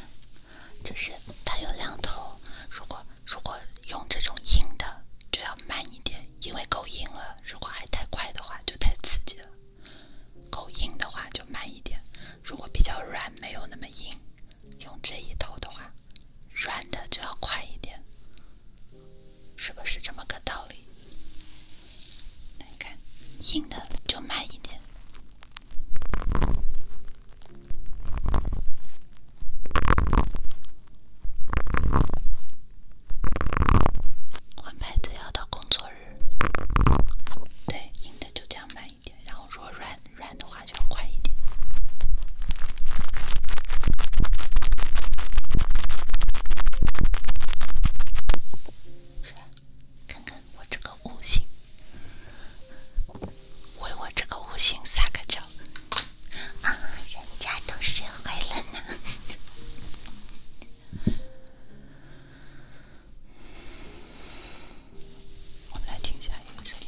就是它有两头，如果如果用这种硬的就要慢一点，因为够硬了。如果还太快的话就太刺激了，够硬的话就慢一点。如果比较软，没有那么硬，用这一头的话，软的就要快一点，是不是这么个道理？来看，硬的就慢一点。换牌子要到工作日。对，硬的就这样慢一点，然后说软软的话就要快一点。看看我这个五星，为我这个五星撒个娇。啊，人家都学会了呢。我们来听下一个声音。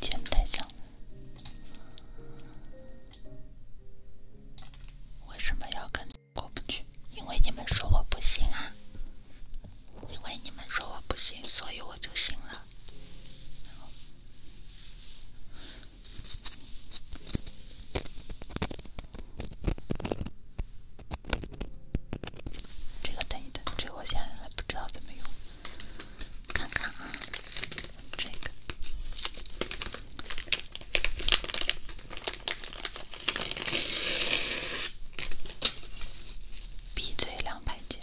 鼻不太像，为什么要跟过不去？因为你们说我不行啊！因为你们说我不行，所以我就行了。这个等一等，这我现在还不知道怎么用，看看啊，这个 B J 两排键。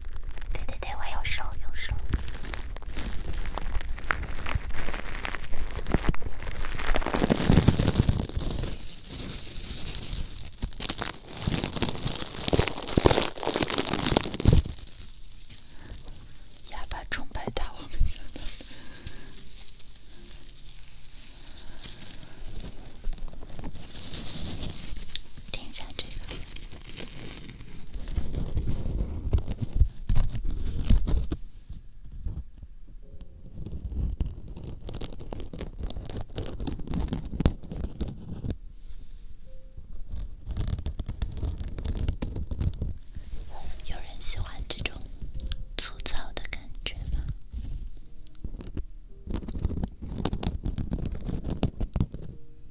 对对对，我有手有手。哑巴崇拜大王，有人喜欢这种粗糙的感觉吗？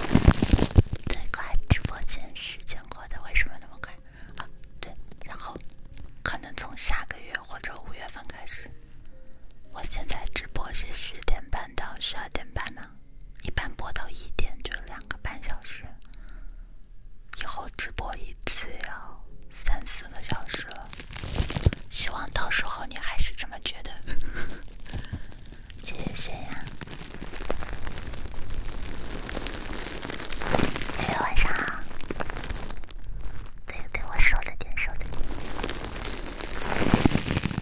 最快直播间时间过得为什么那么快？啊，对，然后可能从下个月或者五月份开始。我现在直播是十点半到十二点半吗？一般播到一点就两个半小时，以后直播一次要三四个小时了。希望到时候你还是这么觉得。谢谢谢呀。哎，晚上好。对对，我收了点，收了点。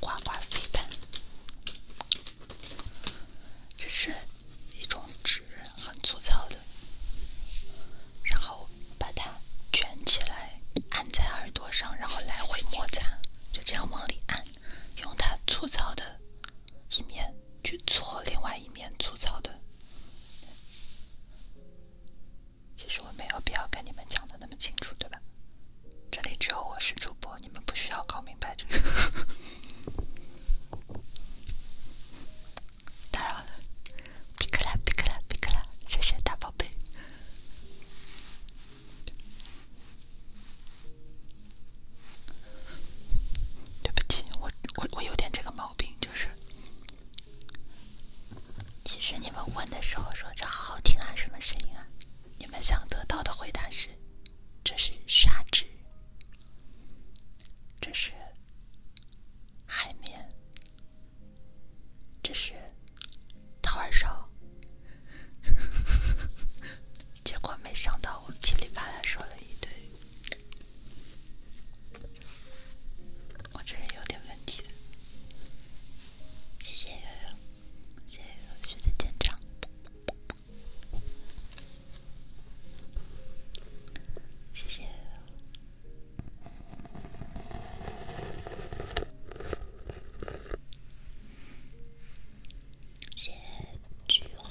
刮刮飞盘，这是一种纸，很粗糙的，然后把它卷起来，按在耳朵上，然后来回摩擦，就这样往里按，用它粗糙的一面去搓另外一面粗糙的。其实我没有必要跟你们讲的那么清楚，对吧？这里只有我是主播，你们不需要搞明白这个。打扰了，皮克啦皮克啦皮克啦，谢谢大宝贝。对不起，我我我有点这个毛病，就是。其实你们问的时候说这好好听啊，什么声音啊？你们想得到的回答是：这是砂纸，这是海绵，这是掏耳勺。结果没想到，我噼里啪啦说了一堆，我这人有点问题。谢谢悠悠，谢谢悠悠学姐的见证，谢谢，谢谢聚会。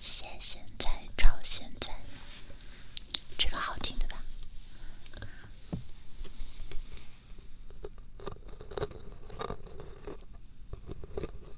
现在，现在，超现在，这个好听对吧？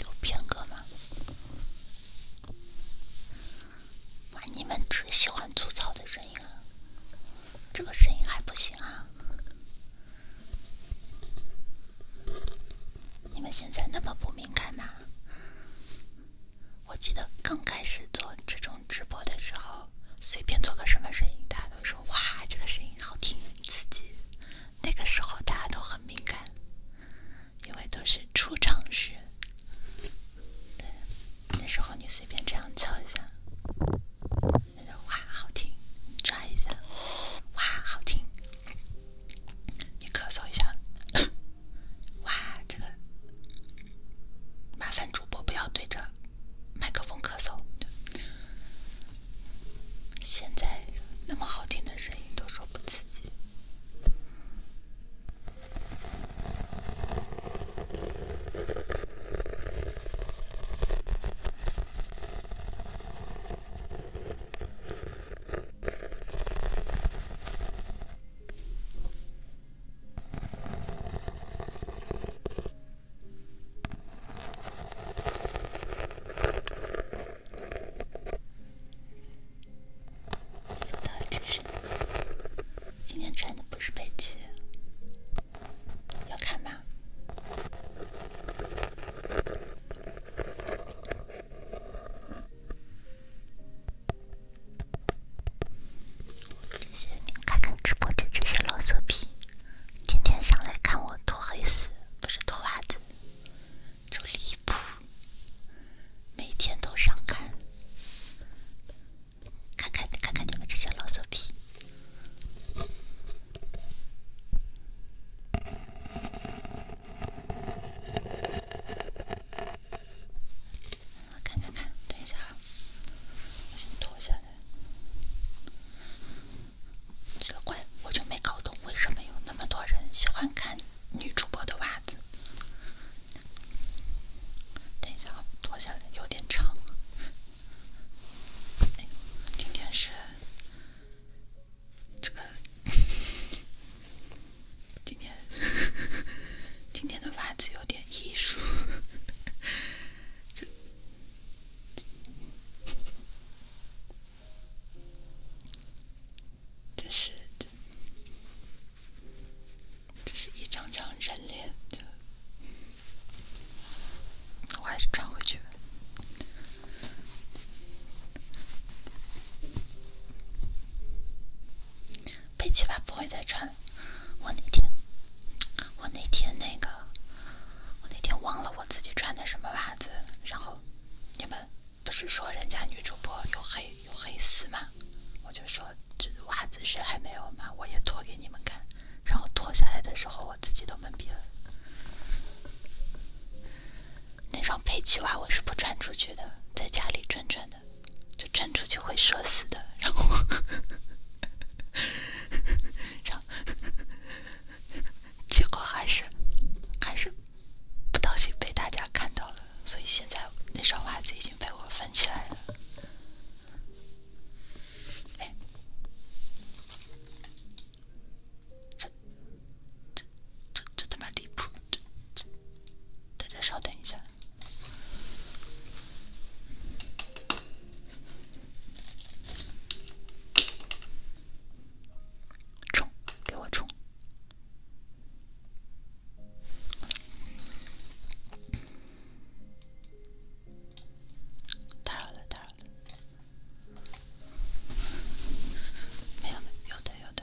有变格吗？你们只喜欢粗糙的声音啊？这个声音还不行啊？你们现在那么不敏感吗？我记得刚开始做这种直播的时候，随便做个什么声音，大家都说哇，这个声音好听刺激。那个时候大家都很敏感，因为都是初尝试。对，那时候你随便这样敲一下，那就哇好听，抓一下，哇好听。你咳嗽一下，哇，这个麻烦主播不要对着麦克风咳嗽。现在那么好听的声音都说不刺激。说到这身，今天穿的不是佩奇要看吗？这些，看看直播的这些老色批，天天想来看我脱黑丝，不是脱袜子，就离谱，每天都上看，看看看看你们这些老色批。我看看看，等一下哈，我先脱下来。奇怪，我就没搞懂为什么有那么多人喜欢看女主播的袜子。等一下，脱下来有点长。今天是这个。今天 今天的袜子有点艺术，这这是这这是一张张人脸，我还是穿回去吧。背起吧不会再穿我那天，我那天那个，我那天忘了我自己穿的什么袜子。然后，你们不是说人家女主播有黑有黑丝吗？我就说这袜子是还没有嘛，我也脱给你们看。然后脱下来的时候，我自己都懵逼了。那双佩奇袜我是不穿出去的，在家里转转的，就穿出去会涩死的。然后，然后，结果还是还是不当心被大家看到了，所以现在那双袜子已经被我分起来了。这这这这他妈离谱！大家稍等一下，充，给我充。打扰了，打扰了，没有，没有，有的，有的。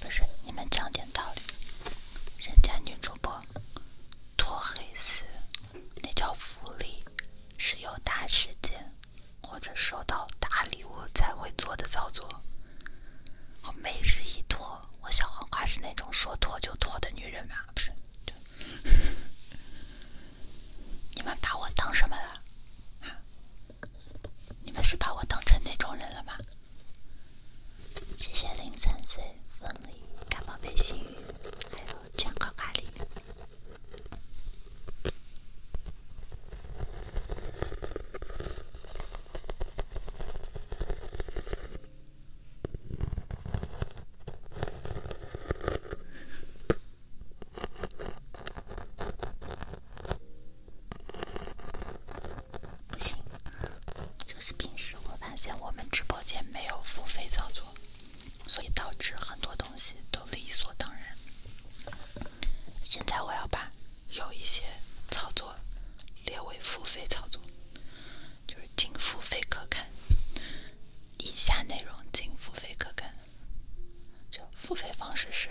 不是你们讲点道理，人家女主播脱黑丝，那叫福利，是有大事件或者收到大礼物才会做的操作。我每日一脱，我小黄瓜是那种说脱就脱的女人吗？不是，你们把我当什么了？你们是把我当成那种人了吗？谢谢零三岁、风里、大宝贝、心雨，还有卷口咖喱。不行，就是平时我发现我们直播间没有付费操作，所以导致很多东西都理所当然。现在我要把有一些操作列为付费操作，就是仅付费可看，以下内容仅付费可看，就付费方式是。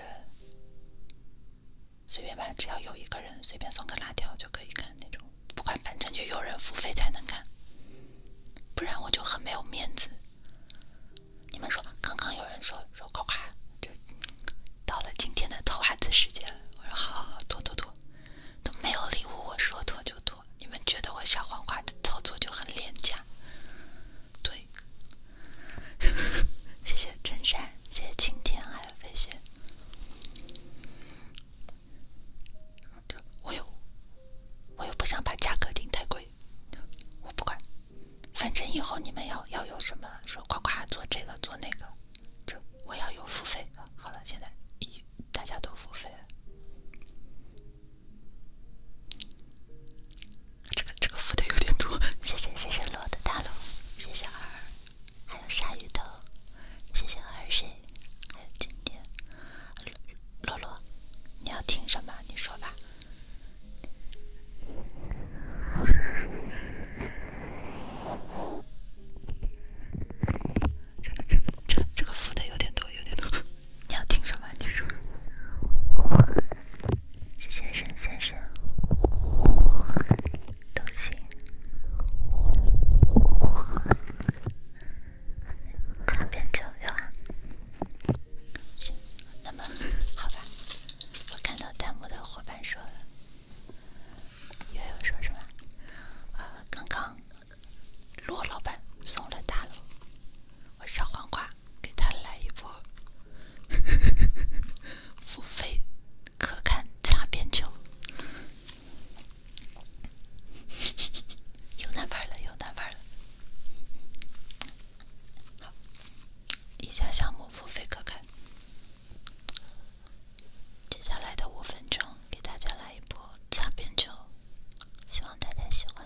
随便吧，只要有一个人随便送个辣条就可以看那种，不管反正就有人付费才能看，不然我就很没有面子。你们说，刚刚有人说说夸夸，就到了今天的偷孩子时间了。我说好，好，好，拖拖拖，都没有礼物，我说拖就拖。你们觉得我小黄瓜的操作就很廉价？对，谢谢真善，谢谢晴天，还有飞雪。我又我又不想把价格定太贵，我不管，反正以后你们要要有什么说夸夸做这个做那个，这我要有付费好了，现在大家都付费这个这个付的有点多。谢谢谢谢落的大楼，谢谢二。还有鲨鱼头，谢谢二水，还有今天，洛洛，你要听什么？你说吧。这个这个这这个付的有点多，有点多。你要听什么？你说。谢谢沈先生。都行，旁边就有啊。行，那么好吧。我看到弹幕的伙伴说了，悠悠说什么？啊，刚刚罗老板送了大礼，我小黄瓜给他来一波，付费。可看擦边球，又难玩了，又难玩了。好，以下项目付费可看。接下来的五分钟，给大家来一部擦边球，希望大家喜欢。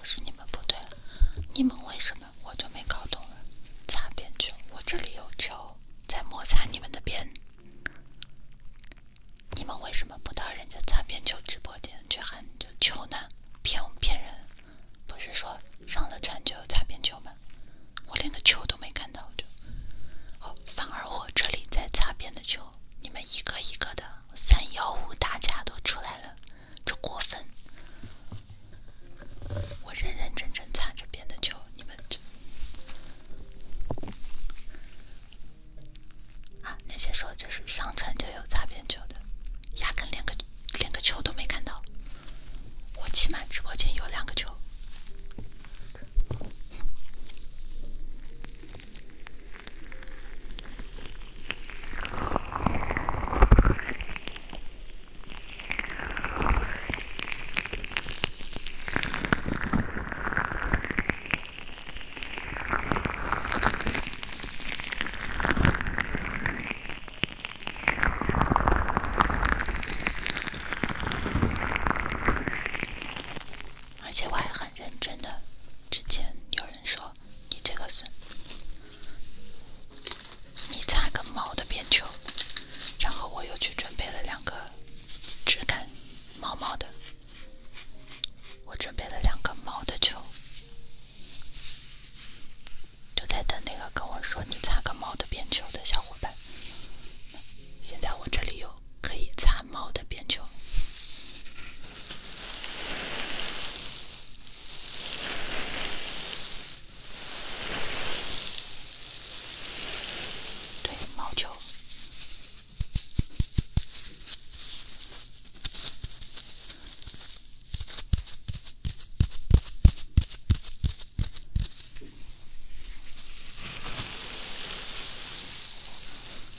这是你们不对了，你们为什么我就没搞懂了？擦边球，我这里有球，在摩擦你们的边，你们为什么不到人家擦边球直播间去喊就球呢？骗我骗人，不是说上了船就擦边球吗？我连个球都没看到就，好，反而我这里在擦边的球，你们一个一个的三幺五大家都出来了，这过分！我认认真真擦着边的球，你们这。啊！那些说就是上传就有擦边球的，压根连个连个球都没看到。我起码直播间有两个球。而且我还很认真的，之前有人说你这个损，你擦个毛的边球。然后我又去准备了两个质感毛毛的，我准备了两个毛的球。就在等那个跟我说你擦个猫的边球的小伙伴。现在我这里有可以擦猫的边球，对，毛球。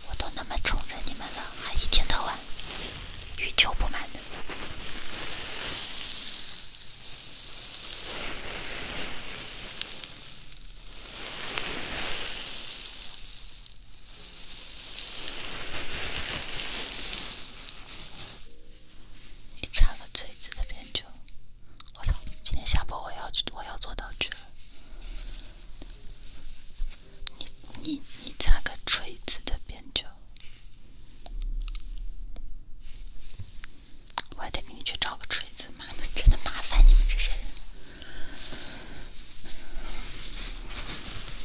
我都那么宠着你们了，还一天到晚欲求不满。的。你擦个锤子的边角！我操，今天下播我要去我要做道具了。你你你擦个锤子的边角！我还得给你去找个锤子，妈的，真的麻烦你们这些人。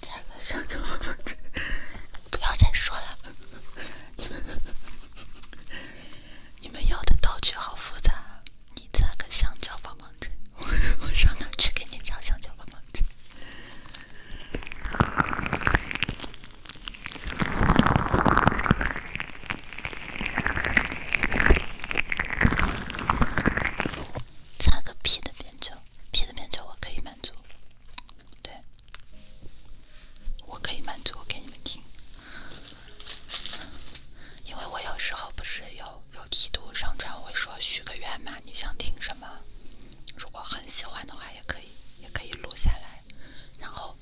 擦个香蕉棒棒糖，不要再说了。你们要的道具好复杂，你擦个香蕉棒棒糖，我上哪去给你擦香蕉棒棒糖？擦个屁的编曲，屁的编曲我可以满足。对，我可以满足，给你们听。因为我有时候不是有有梯度上传，会说许个愿嘛，你想听什么？如果很喜欢的话，也可以，也可以录下来。然后，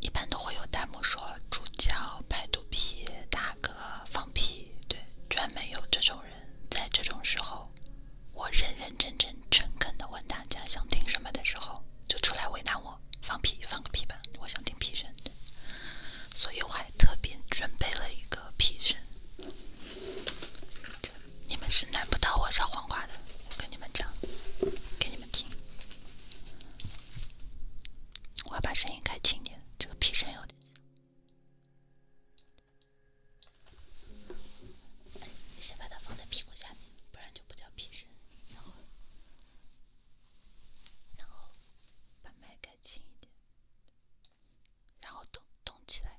一般都会有弹幕说“主教拍肚皮，大哥放屁”，对，专门有这种人在这种时候。我认认真真、诚恳的问大家想听什么的时候，就出来为难我，放屁，放个屁吧，我想听屁声。所以我还特别准备了一个屁声，你们是难不到我小黄瓜的，我跟你们讲，给你。轻，我把声音开轻点，这个屁声有点你先把它放在屁股下面，不然就不叫屁声。然后，然后把麦开轻一点，然后动动起来。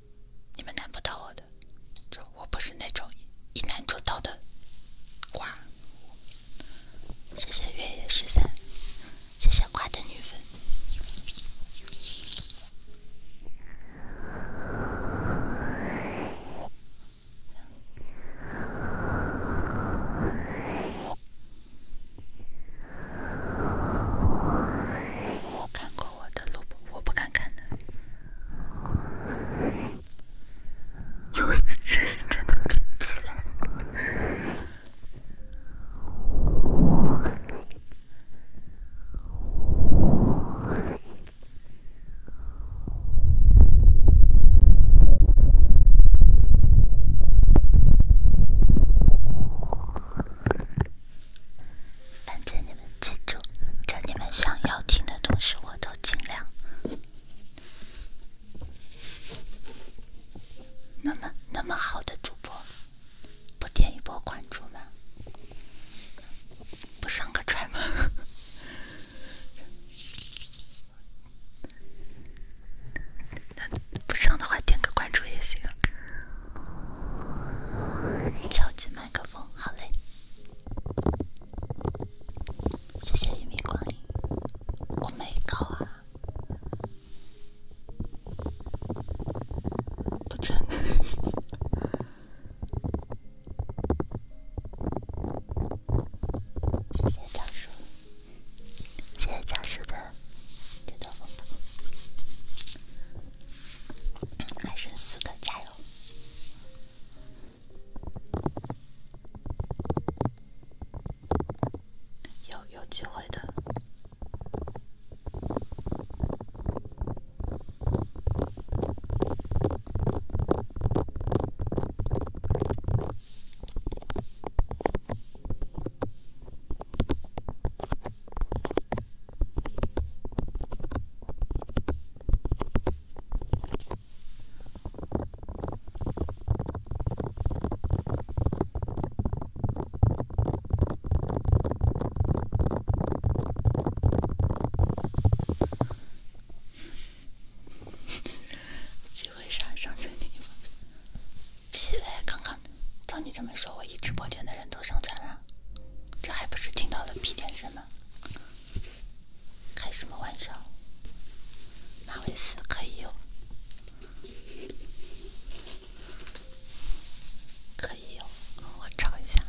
你们难不到我的，我不是那种一难就到的瓜。谢谢月夜十三，谢谢瓜的女粉。看过。我的路，我不敢看的，因为声音真的屏住了。反正你们记住，这你们想要听的东西我都尽量。那么那么好的主播，不点一波关注吗？不上个船吗？不上的话点个关注也行。叫进吗？麦克风，好嘞，谢谢一 叔，谢谢张风筒。还剩四个，加油！有有机会的。机会啥？上钻你？屁嘞！刚刚，照你这么说，我一直播间的人都上钻了。这还不是听到了屁点声吗？开什么玩笑？马尾丝可以有，可以有，我找一下。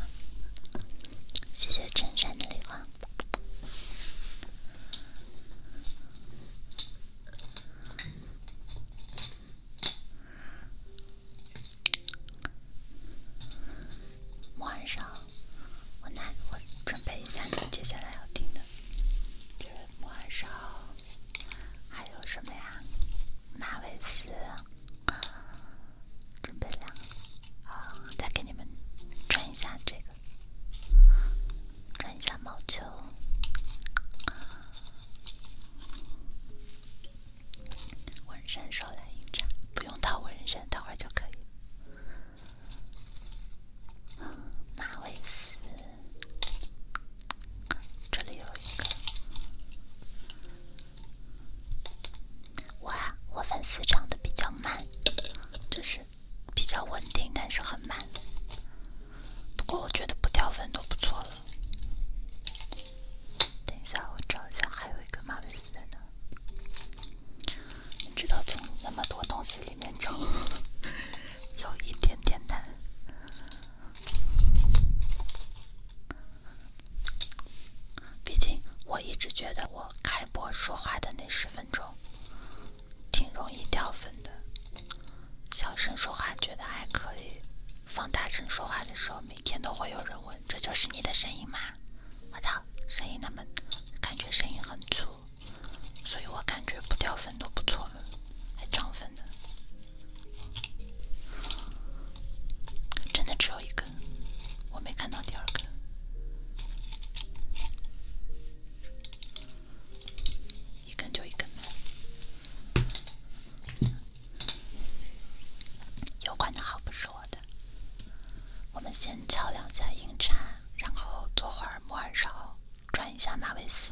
谢谢衬衫的礼物。晚上，我来，我准备一下你接下来要听的。这个晚上还有什么呀？马尾丝，准备两个，啊，再给你们转一下这个，转一下毛球。纹身手来印章，不用套纹身，等会儿就可以。马尾丝，这里有一个。哇，我粉丝涨得比较慢，就是比较稳定，但是很慢。不过我觉得不掉粉都不错了。等一下，我找一下，还有一个麻烦丝在哪你知道，从那么多东西里面找，有一点点难。毕竟，我一直觉得我开播说话的那十分钟，挺容易掉粉的。小声说话觉得还可以，放大声说话的时候。每天都会有人问，这就是你的声音吗？我的声音那么，感觉声音很粗，所以我感觉不掉粉都不错了，还涨粉呢。真的只有一根，我没看到第二根，一根就一根。有关的好不是我的，我们先敲两下音叉，然后做会儿摩尔勺，转一下马尾丝，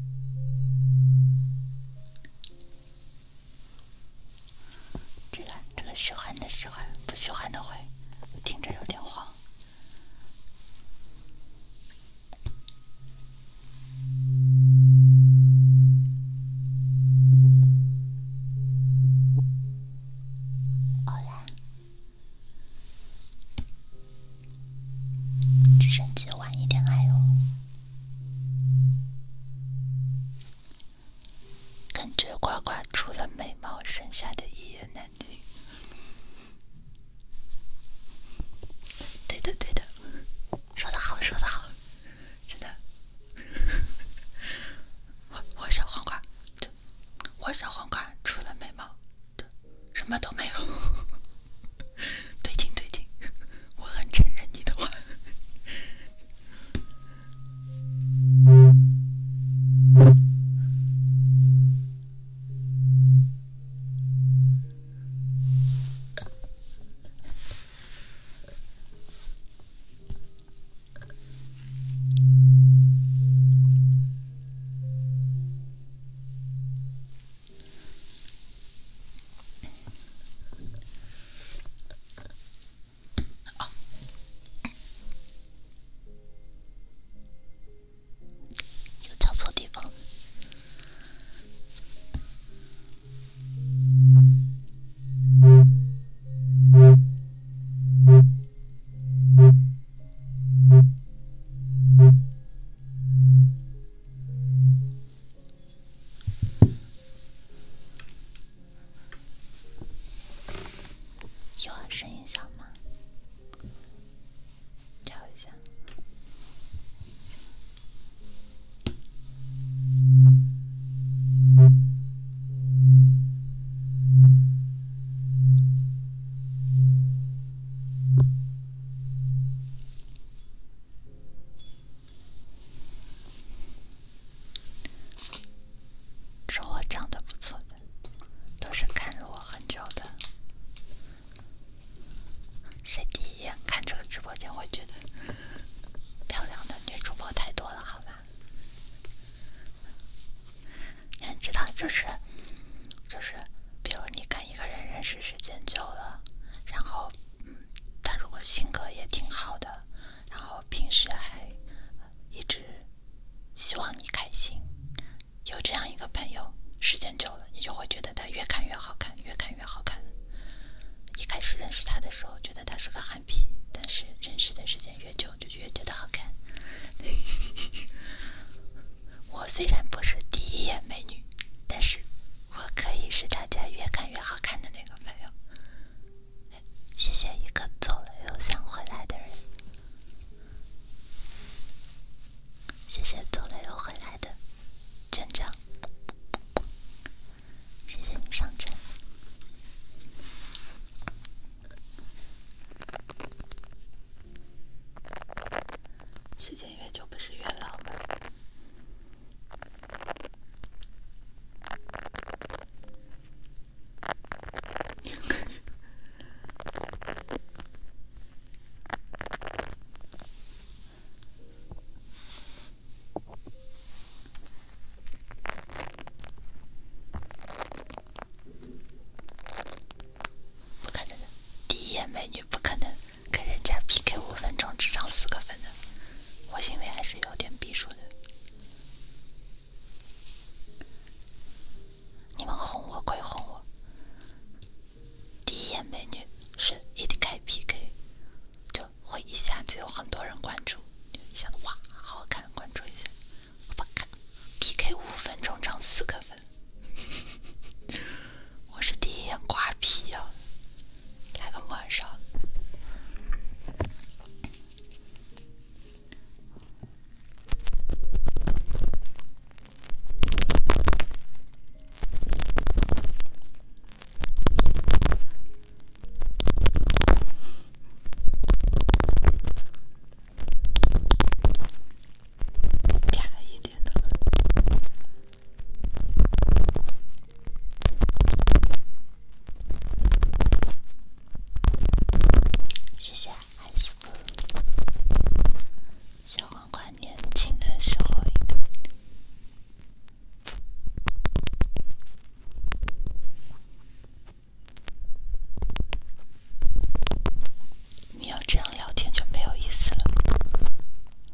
这个，这个喜欢的喜欢，不喜欢的会听着有点慌。好嘞。直升机晚一点来哦。感觉瓜瓜除了美貌，剩下的一言难尽。对的对的，说的好说的好，真的。我我小黄瓜，我小黄瓜除了美貌。对，什么都没有。对 劲，对劲，我很承认你的话。又叫错地方。有声音小吗？调一下。说我长得不错的，都是看着我很久的。谁第一眼看这个直播间会觉得漂亮的女主播太多了？好吧，你们知道，就是，就是。比如你跟一个人认识时间久了，然后，嗯，他如果性格也挺好的，然后平时还一直希望你开心，有这样一个朋友，时间久了你就会觉得他越看越好看，越看越好看。一开始认识他的时候觉得他是个憨批，但是认识的时间越久就越觉得好看。我虽然不是第一眼美女，但是。我可以是大家越看越好看的那个朋友。谢谢一个走了又想回来的人。谢谢走了又回来的见证。谢谢你上阵。时间。美女就不是月老吗？不可能，第一眼美女不可能。跟人家 PK 五分钟只涨四个粉的，我心里还是有点逼数的。你们哄我归哄我，第一眼美女是一开 PK，就会一下子有很多人关注，就一下子哇，好看，关注一下。我看 p k 五分钟涨四个粉。我是第一眼瓜皮呀，来个玩笑。一点的。谢谢爱素。小黄瓜年轻的时候，应该。你要这样聊天就没有意思了。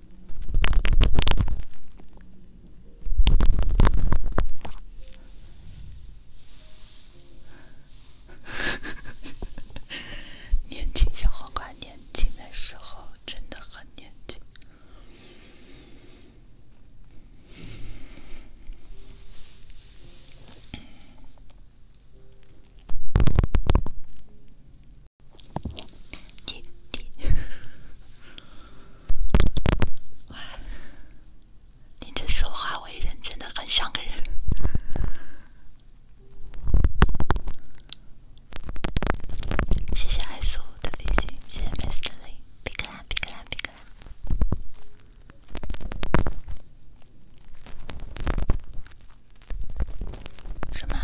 年轻小黄瓜，年轻的时候真的很年轻。你你，你这说话为人真的很像个人。谢谢爱素的飞行，谢谢 Mr 的比克兰，比克兰，比克兰。什么？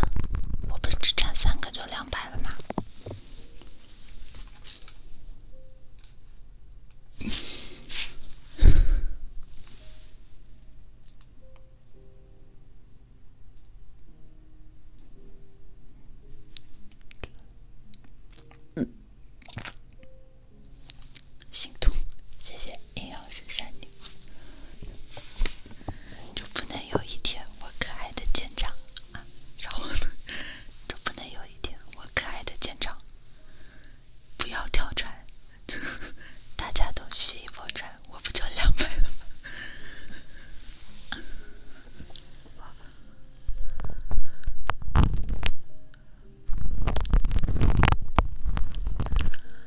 我不是只差三个就两百了吗？嗯，心痛，谢谢阴阳师山顶。就不能有一天，我可爱的舰长小伙子，就不能有一天，我可爱的舰长不要跳船，大家都去一泊船，我不就两百了吗？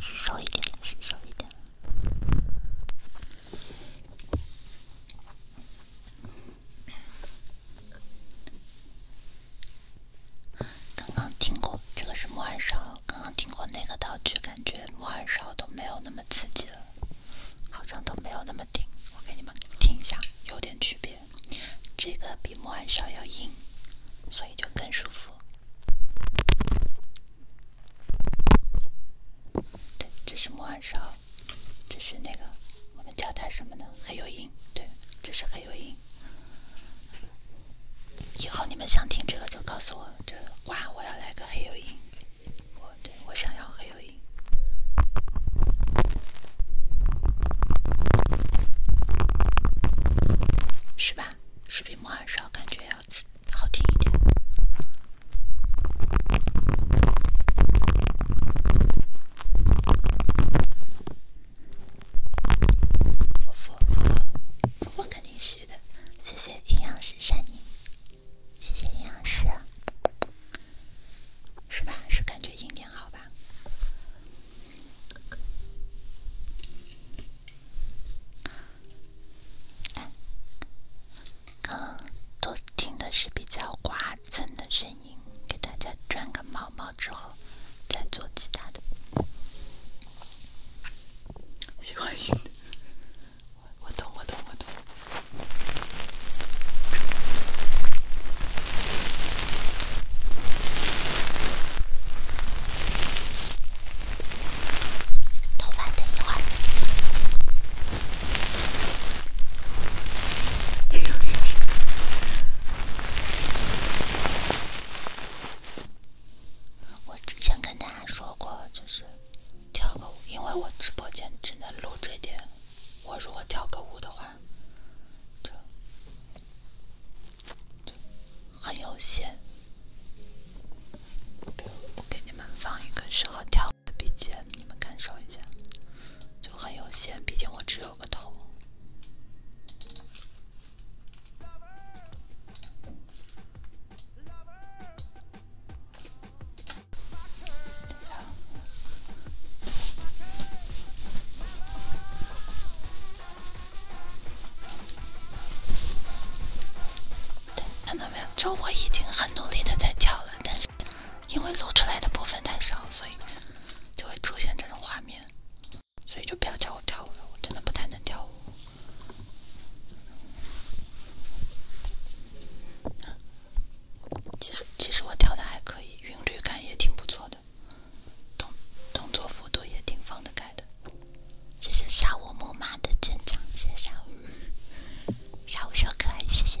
是少一点，是少一点。刚刚听过这个是木寒烧，刚刚听过那个道具，感觉木寒烧都没有那么刺激了，好像都没有那么顶。我给你们听一下，有点区别。这个比磨砂要硬，所以就更舒服。对，这是磨砂，这是那个我们叫它什么呢？黑油音，对，这是黑油音。以后你们想听这个就告诉我，这哇，我要来个黑油音，我对我想要黑油音。是吧？是比莫尔少，感觉要好听一点。我服我服我肯定是的，谢谢阴阳师山你，谢谢阴阳师。是吧？是感觉阴点好吧？刚都听的是比较刮蹭的声音，给大家转个毛毛之后，再做其他的。喜欢听的，我懂，我懂，我懂。头发得你画。我之前跟大家说过，就是跳个舞，因为我直播间只能录这点，我如果跳个舞的话，就很有限。我给你们放一个适合跳的 BGM，你们感受一下，就很有限。毕竟我只有个头。对，看到没有？就我已经很努力的在跳了，但是因为录出来的部分太少，所以就会出现这种画面。所以就不要叫我跳舞了，我真的不太能跳舞。其实，其实我跳的还可以，韵律感也挺不错的。动作幅度也挺放得开的，谢谢杀我木马的坚强，谢谢杀我，杀我小可爱，谢谢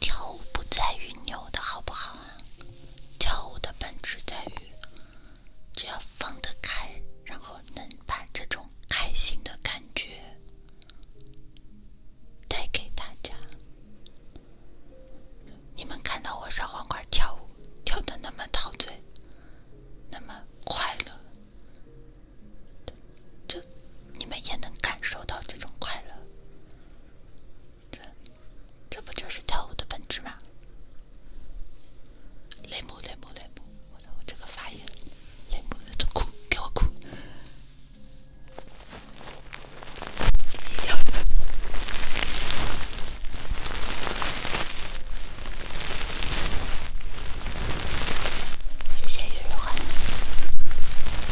跳舞不在于扭的好不好啊，跳舞的本质在于，只要放得开，然后能把这种开心的感觉带给大家。你们看到我烧黄瓜跳舞，跳的那么陶醉，那么快乐，就你们也能感受到这种快乐。这，这不就是跳舞的本质吗？雷姆雷姆雷姆，我的我这个发音，雷姆那种哭给我哭，一的。谢谢雨日欢。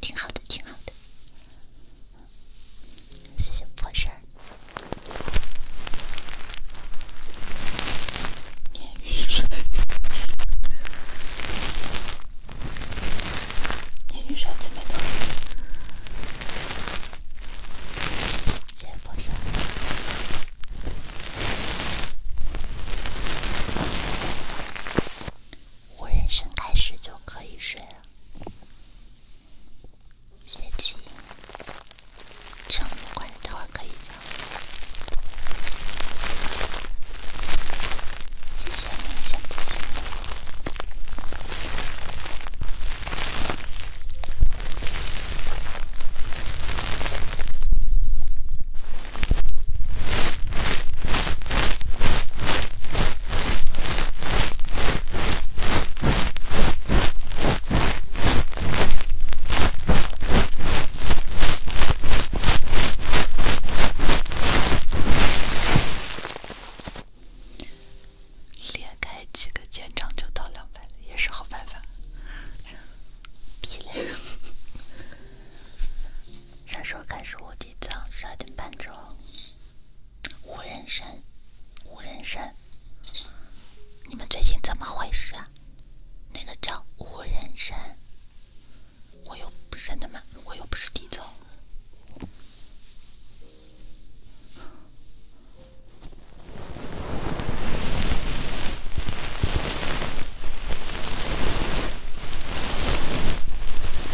挺好的，挺好的，谢谢破事儿。鲶鱼啥？鲶鱼啥子味道？谢谢破事我人生开始就可以睡了，谢谢。中午关着，待会儿可以讲。谢谢，谢谢。连开几个肩长就到两百了，也是好办法。皮嘞，啥时候开始我点早，十二点半之后。无人神，无人神，你们最近怎么回事啊？那个叫无人神，我又不是他们，我又不是地造。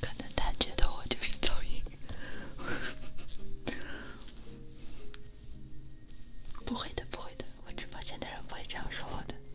可能他觉得我就是噪音，不会的，不会的，我直播间的人不会这样说我的，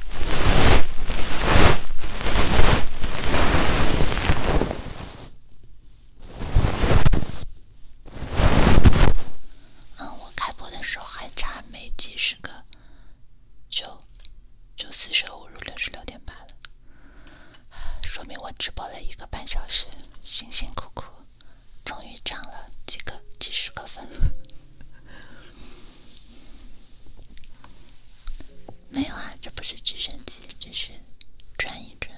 嗯，我开播的时候还差没几十个，就就四舍五入六十六点八了，说明我直播了一个半小时，辛辛苦苦，终于涨了几个几十个粉。没有啊，这不是直升机，这是转一转。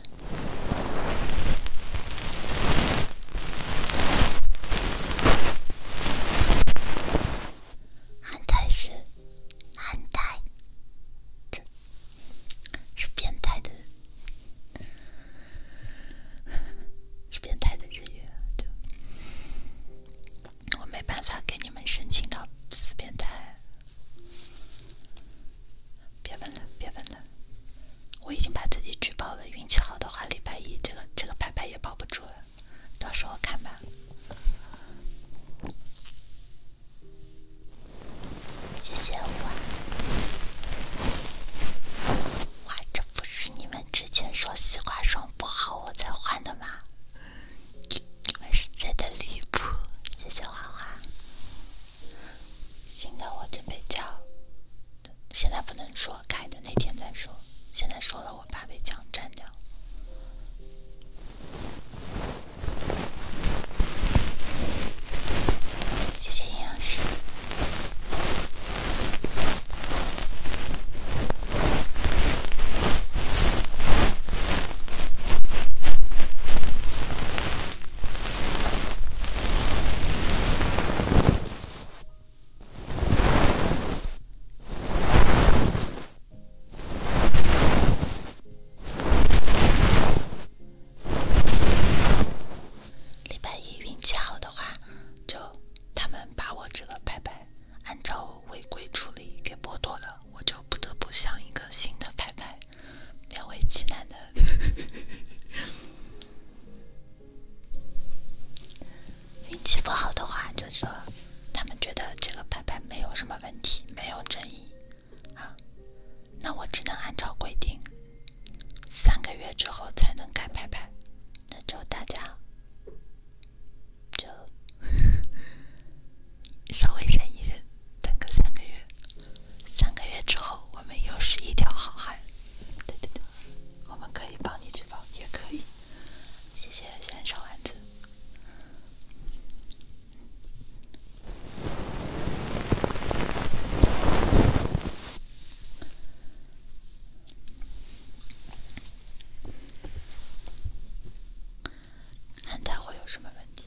汉代是汉代，这是变态的，是变态的日语就。我没办法给你们申请到四边台，别问了，别问了，我已经把自己举报了。运气好的话，礼拜一这个这个牌牌也保不住了，到时候看吧。谢谢哇，这不是你们之前说西瓜霜不好，我才换的吗？还是真的离谱，谢谢花花。新的我准备叫，现在不能说，改的那天再说。现在说了，我怕被枪占掉。谢谢营养师。礼拜一运气好的话，就他们把我这个牌牌按照。违规处理给剥夺了，我就不得不想一个新的牌牌，勉为其难的。运气不好的话，就说他们觉得这个牌牌没有什么问题，没有争议啊，那我只能按照规定，三个月之后才能改牌牌，那就大家。就 稍微忍一忍，等个三个月，三个月之后我们又是一条好汉。对对对，我们可以帮你举报，也可以。谢谢先生丸子。汉台会有什么问题？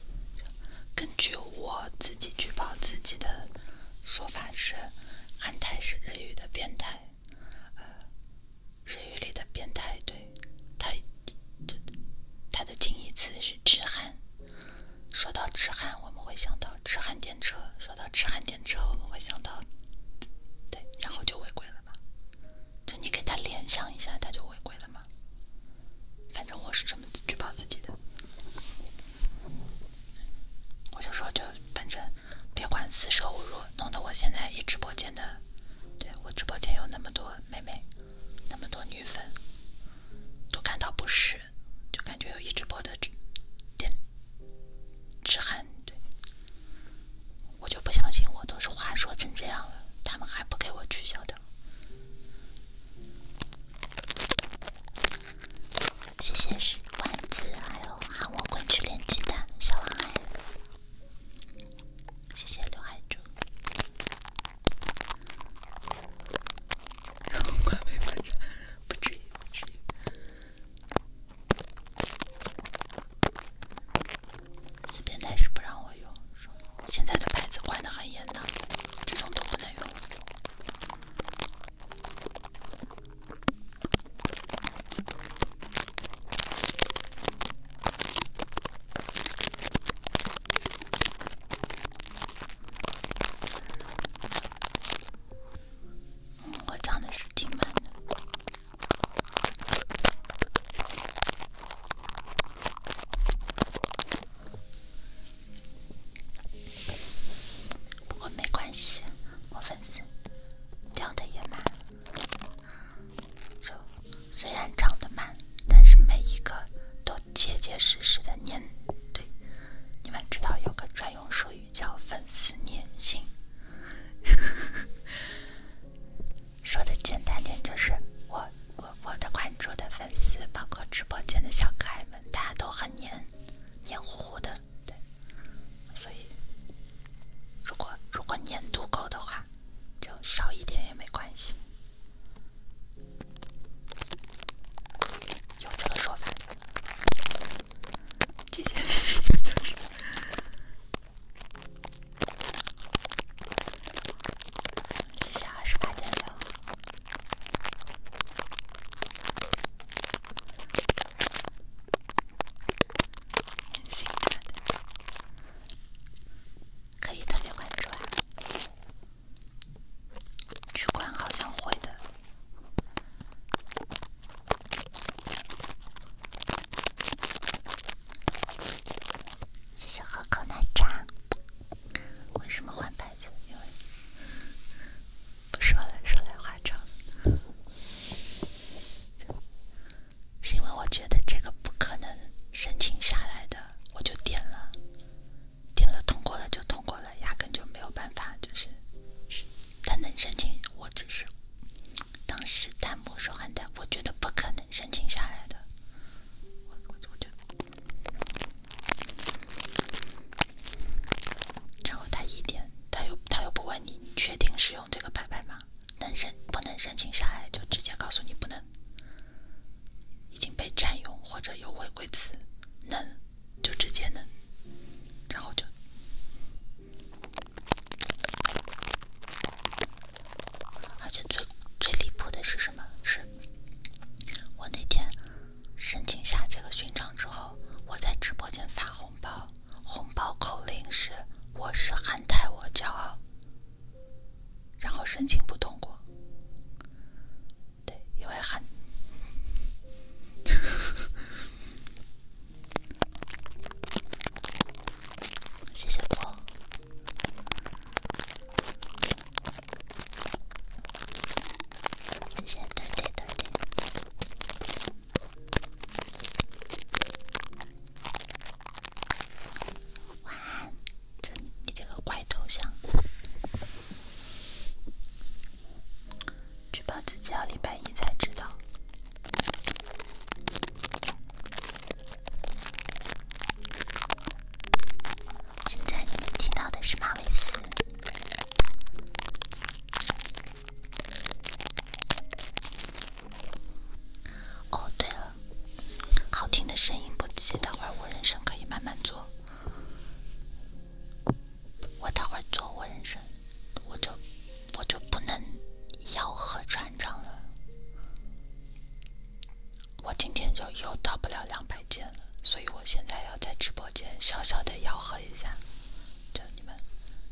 根据我自己举报自己的说法是，汉台是日语的变态，呃，日语里的变态，对，它就它的近义词是痴汉。说到痴汉，我们会想到痴汉电车；说到痴汉电车，我们会想到，对，然后就违规了嘛。就你给他联想一下，他就违规了嘛。反正我是这么举报自己的，我就说就反正别管四舍五入，弄得我现在一直播间的，对我直播间有那么多妹妹，那么多女粉都感到不适，就感觉有一直播的点电汉。对，我就不相信我都是话说成这样了，他们还不给我取消掉。谢谢石丸子，还有喊我滚去练鸡蛋小王哎，谢谢刘海柱。我还没发展，不至于，不至于。四边台是不让我用，现在的牌子管的很严的，这种都不能用。我讲的是挺慢的。不过没关系，我粉丝掉的也慢，这虽然长得慢，但是每一个都结结实实的粘。对，你们知道有个专用术语叫粉丝粘性。说的简单点就是，我我我的关注的粉丝，包括直播间的小可爱们，大家都很黏黏糊糊的，对，所以如果如果黏度够的话，就少一点也没关系。有这个说法，姐姐。谢谢二十八千六，真心的，可以增加关注啊，取关好像会的。谢谢喝口奶茶。为什么换牌子？因为不说了，说来话长。是因为我觉得这个不可能申请下来的，我就点了，点了通过了就通过了，压根就没有办法，就是他能申请，我只是当时弹幕说喊弹，我觉得不可能申请下来的。然后他一点，他又他又不问你，你确定使用这个牌牌吗？能申不能申请下来，就直接告诉你不能，已经被占用或者有违规词。能就直接能，然后就。而且最最离谱的是什么？是，我那天申请下这个勋章之后，我在直播间发红包，红包口令是“我是韩泰我骄傲”，然后申请不通过，对，因为韩，谢谢我。晚安，这你这个怪头像。举报自己要礼拜一才知道。现在你们听到的是马尾丝。哦，对了，好听的声音不急，等会儿我人声可以慢慢做。我等会儿做我人声，我就我就不能咬合转场了。我今天就又到不了两百件了，所以我现在要在直播间小小的吆喝一下，就你们，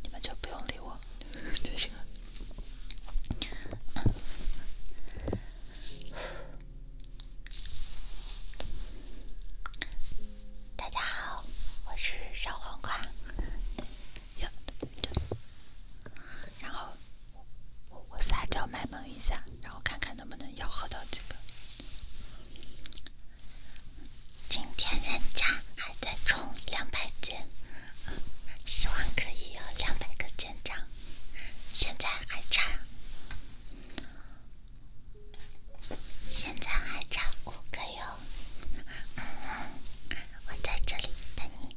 你们就不用理我 就行了。大家好，我是小黄瓜。然后。我我撒娇卖萌一下，然后看看能不能吆喝到几个。今天人家还在冲两百斤，希望可以有两百个签章，现在还差，现在还差五个哟。嗯，我在这里等你。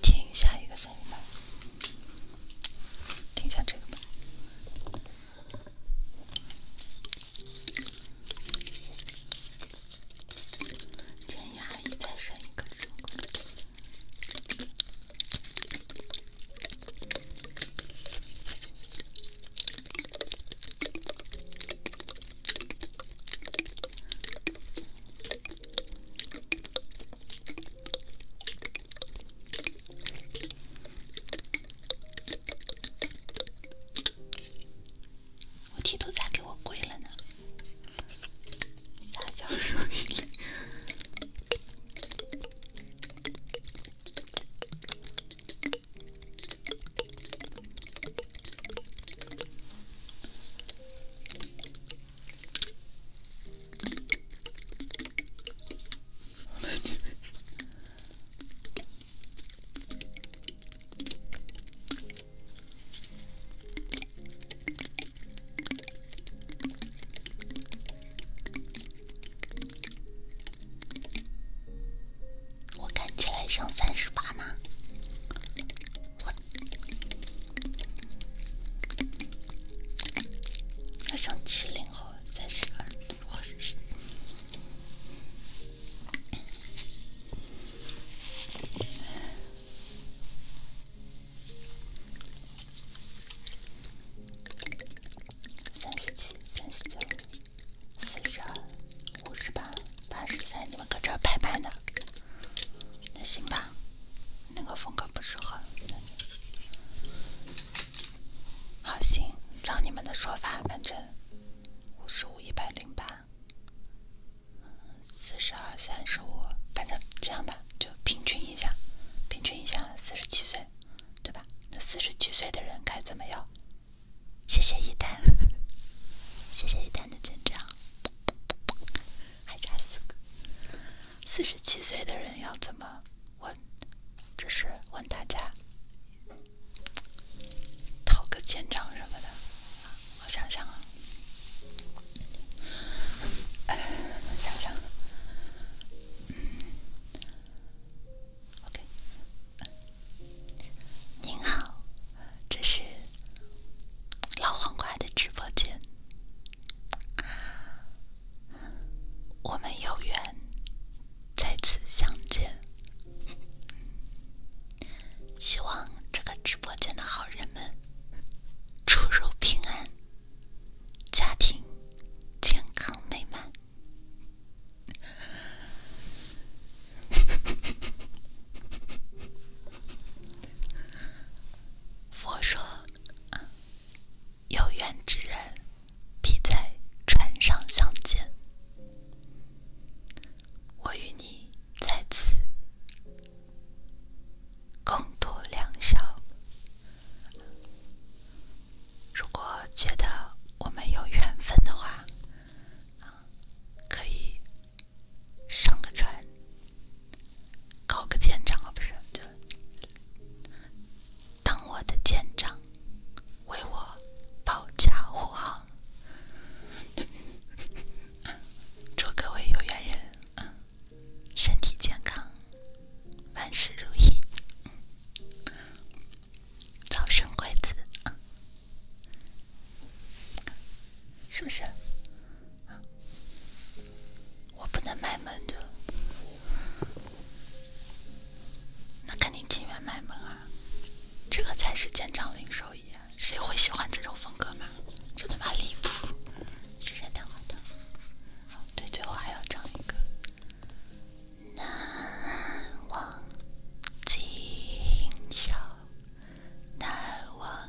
听下一个声音吧，听一下这个吧。建议阿姨再生一个。我剃头咋给我跪了呢？撒娇。我看起来像三十八吗？我，我像七零后，三十二，我三十七，三十九，四十二，五十八，八十三，你们搁这儿拍呢？那行吧，那个风格不适合。好行，照你们的说法，反正五十五、一百零八、四十二、三十五，反正这样吧，就平均一下，平均一下，四十七岁，对吧？那四十七岁的人该怎么样？谢谢一丹，谢谢一丹的见证。还差四个。四十七岁的人要怎么问？这是问大家，讨个建章什么的。我想想啊，我想想，嗯，OK。您好，这是老黄瓜的直播间。我们有缘再次相见，希望这个直播间的好人们出入平安，家庭健康美满。佛说。啊，有缘之人必在船上相见。我与你在此共度良宵。如果觉得我们有缘分的话，啊，可以上个船。搞个舰长啊，不是，就当我的舰长，为我保驾护航。祝各位有缘人身体健康，万事如意，早生贵子是不是？我不能卖萌的，那肯定情愿卖萌啊！这个才是尖张林手艺，谁会喜欢这种风格嘛？这他妈离谱！谢谢两万的，对，最后还要唱一个《难忘今宵》，难忘。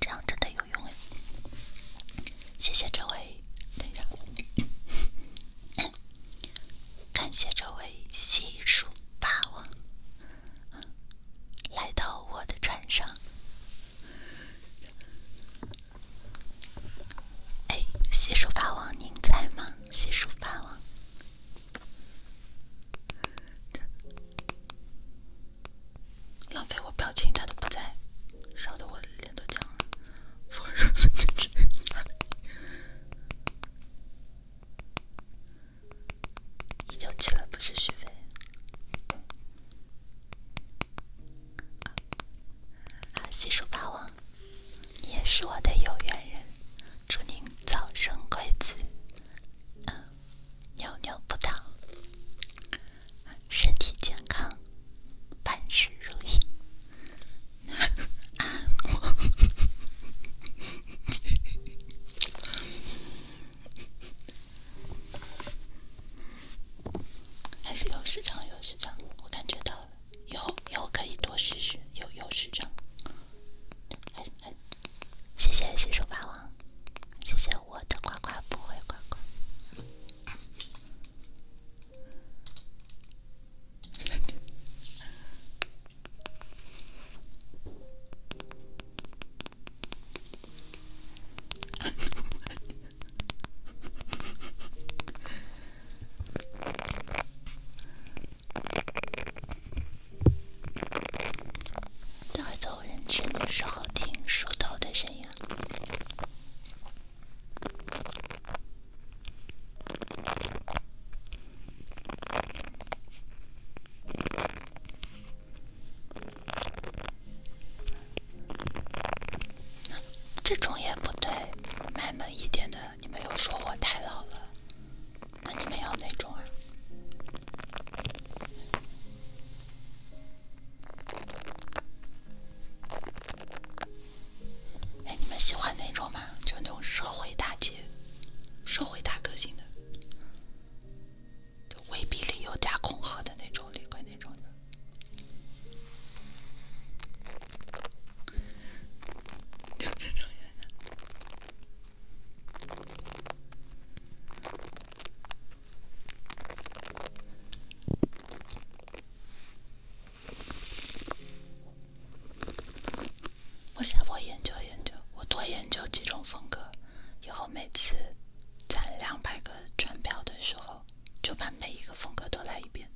这样真的有用诶！谢谢这位，等一下，感谢这位西蜀霸王来到我的船上。哎，洗漱霸王您在吗？西蜀霸王。浪费我表情，他都不在，烧得我脸都僵了。你就去了吧，去续费。啊，新手霸王，你也是我的有缘人，祝您早生贵子。嗯，牛牛不倒，身体健康，万事如意，安 我。还是有市场，有市场，我感觉到了，以后以后可以多试试，有有市场。谢谢洗手霸王，谢谢我的乖乖不会乖乖。大走人上的时候，听、梳头的声音，这种也不对，卖萌一点的，你们又说我太老了。那你们要哪种啊？哎，你们喜欢哪种嘛？就那种社会大姐，社会大哥型的，就威逼利诱加恐吓的那种，里边那种的。我下播研究研究，我多研究几种风格。以后每次攒两百个专票的时候，就把每一个风格都来一遍。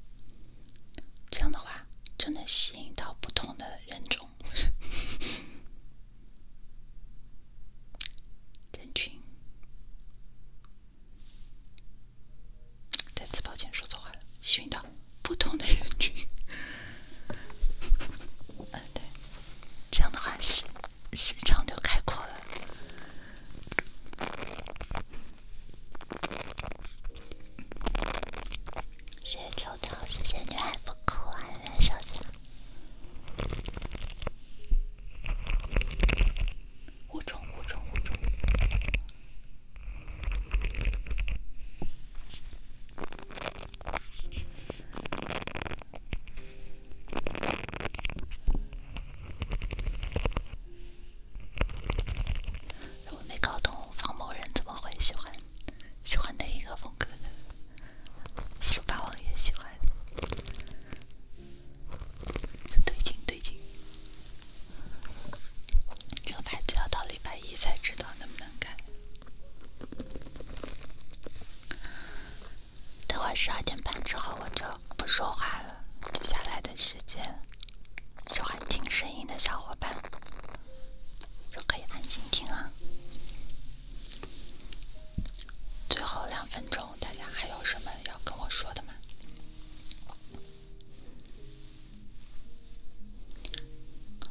这样的话，就能吸引到不同的人种。人群，再次抱歉，说错话了，吸引到不同的人群。嗯，对，这样的话是市场就开阔了。谢谢抽奖，谢谢女孩，不哭啊，收下。无重无重无重。如果没搞懂，方某人怎么会喜欢喜欢那个风格呢？西楚霸王也喜欢。对劲对劲，这个牌子要到礼拜一才知道能不能改。等会儿十二点半之后我就不说话了，接下来的时间，喜欢听声音的小伙伴就可以安静听啊。最后两分钟，大家还有什么要跟我说的吗？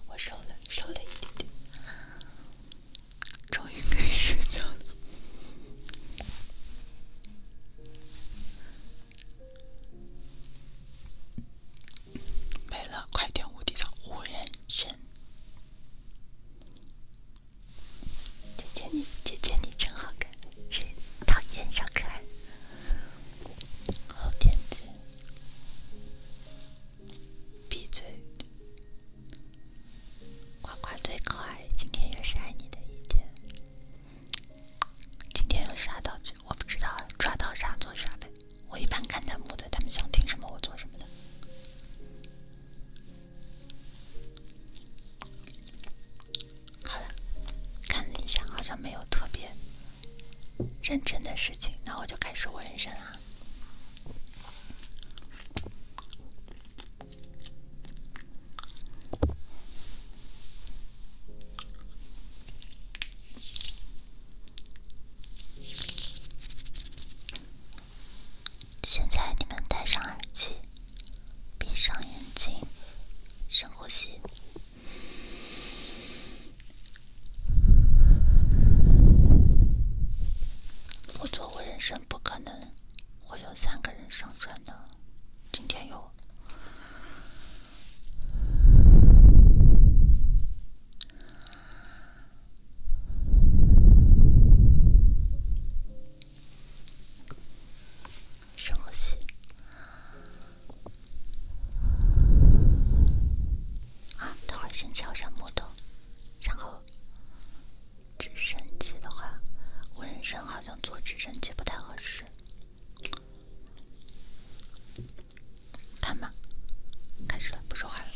我瘦了，瘦了一点点，终于可以睡觉了。没了，快点，无敌上无人身。姐姐你，姐姐你真好看，谁讨厌小可爱？好天子，闭嘴！呱呱最可爱，今天又是爱你的一天。今天用啥道具我不知道，抓到啥做啥呗。我一般看弹幕的，他们想听什么我做什么的。好了，看了一下，好像没有特别认真的事情，那我就开始我人生啦。现在你们戴上耳机，闭上眼睛，深呼吸。我做我人生不可能会有三个人上传的，今天有。深呼吸。等会儿先敲下木头，然后直升机的话，我人生好像坐直升机不太合适。看吧，开始了，不说话了。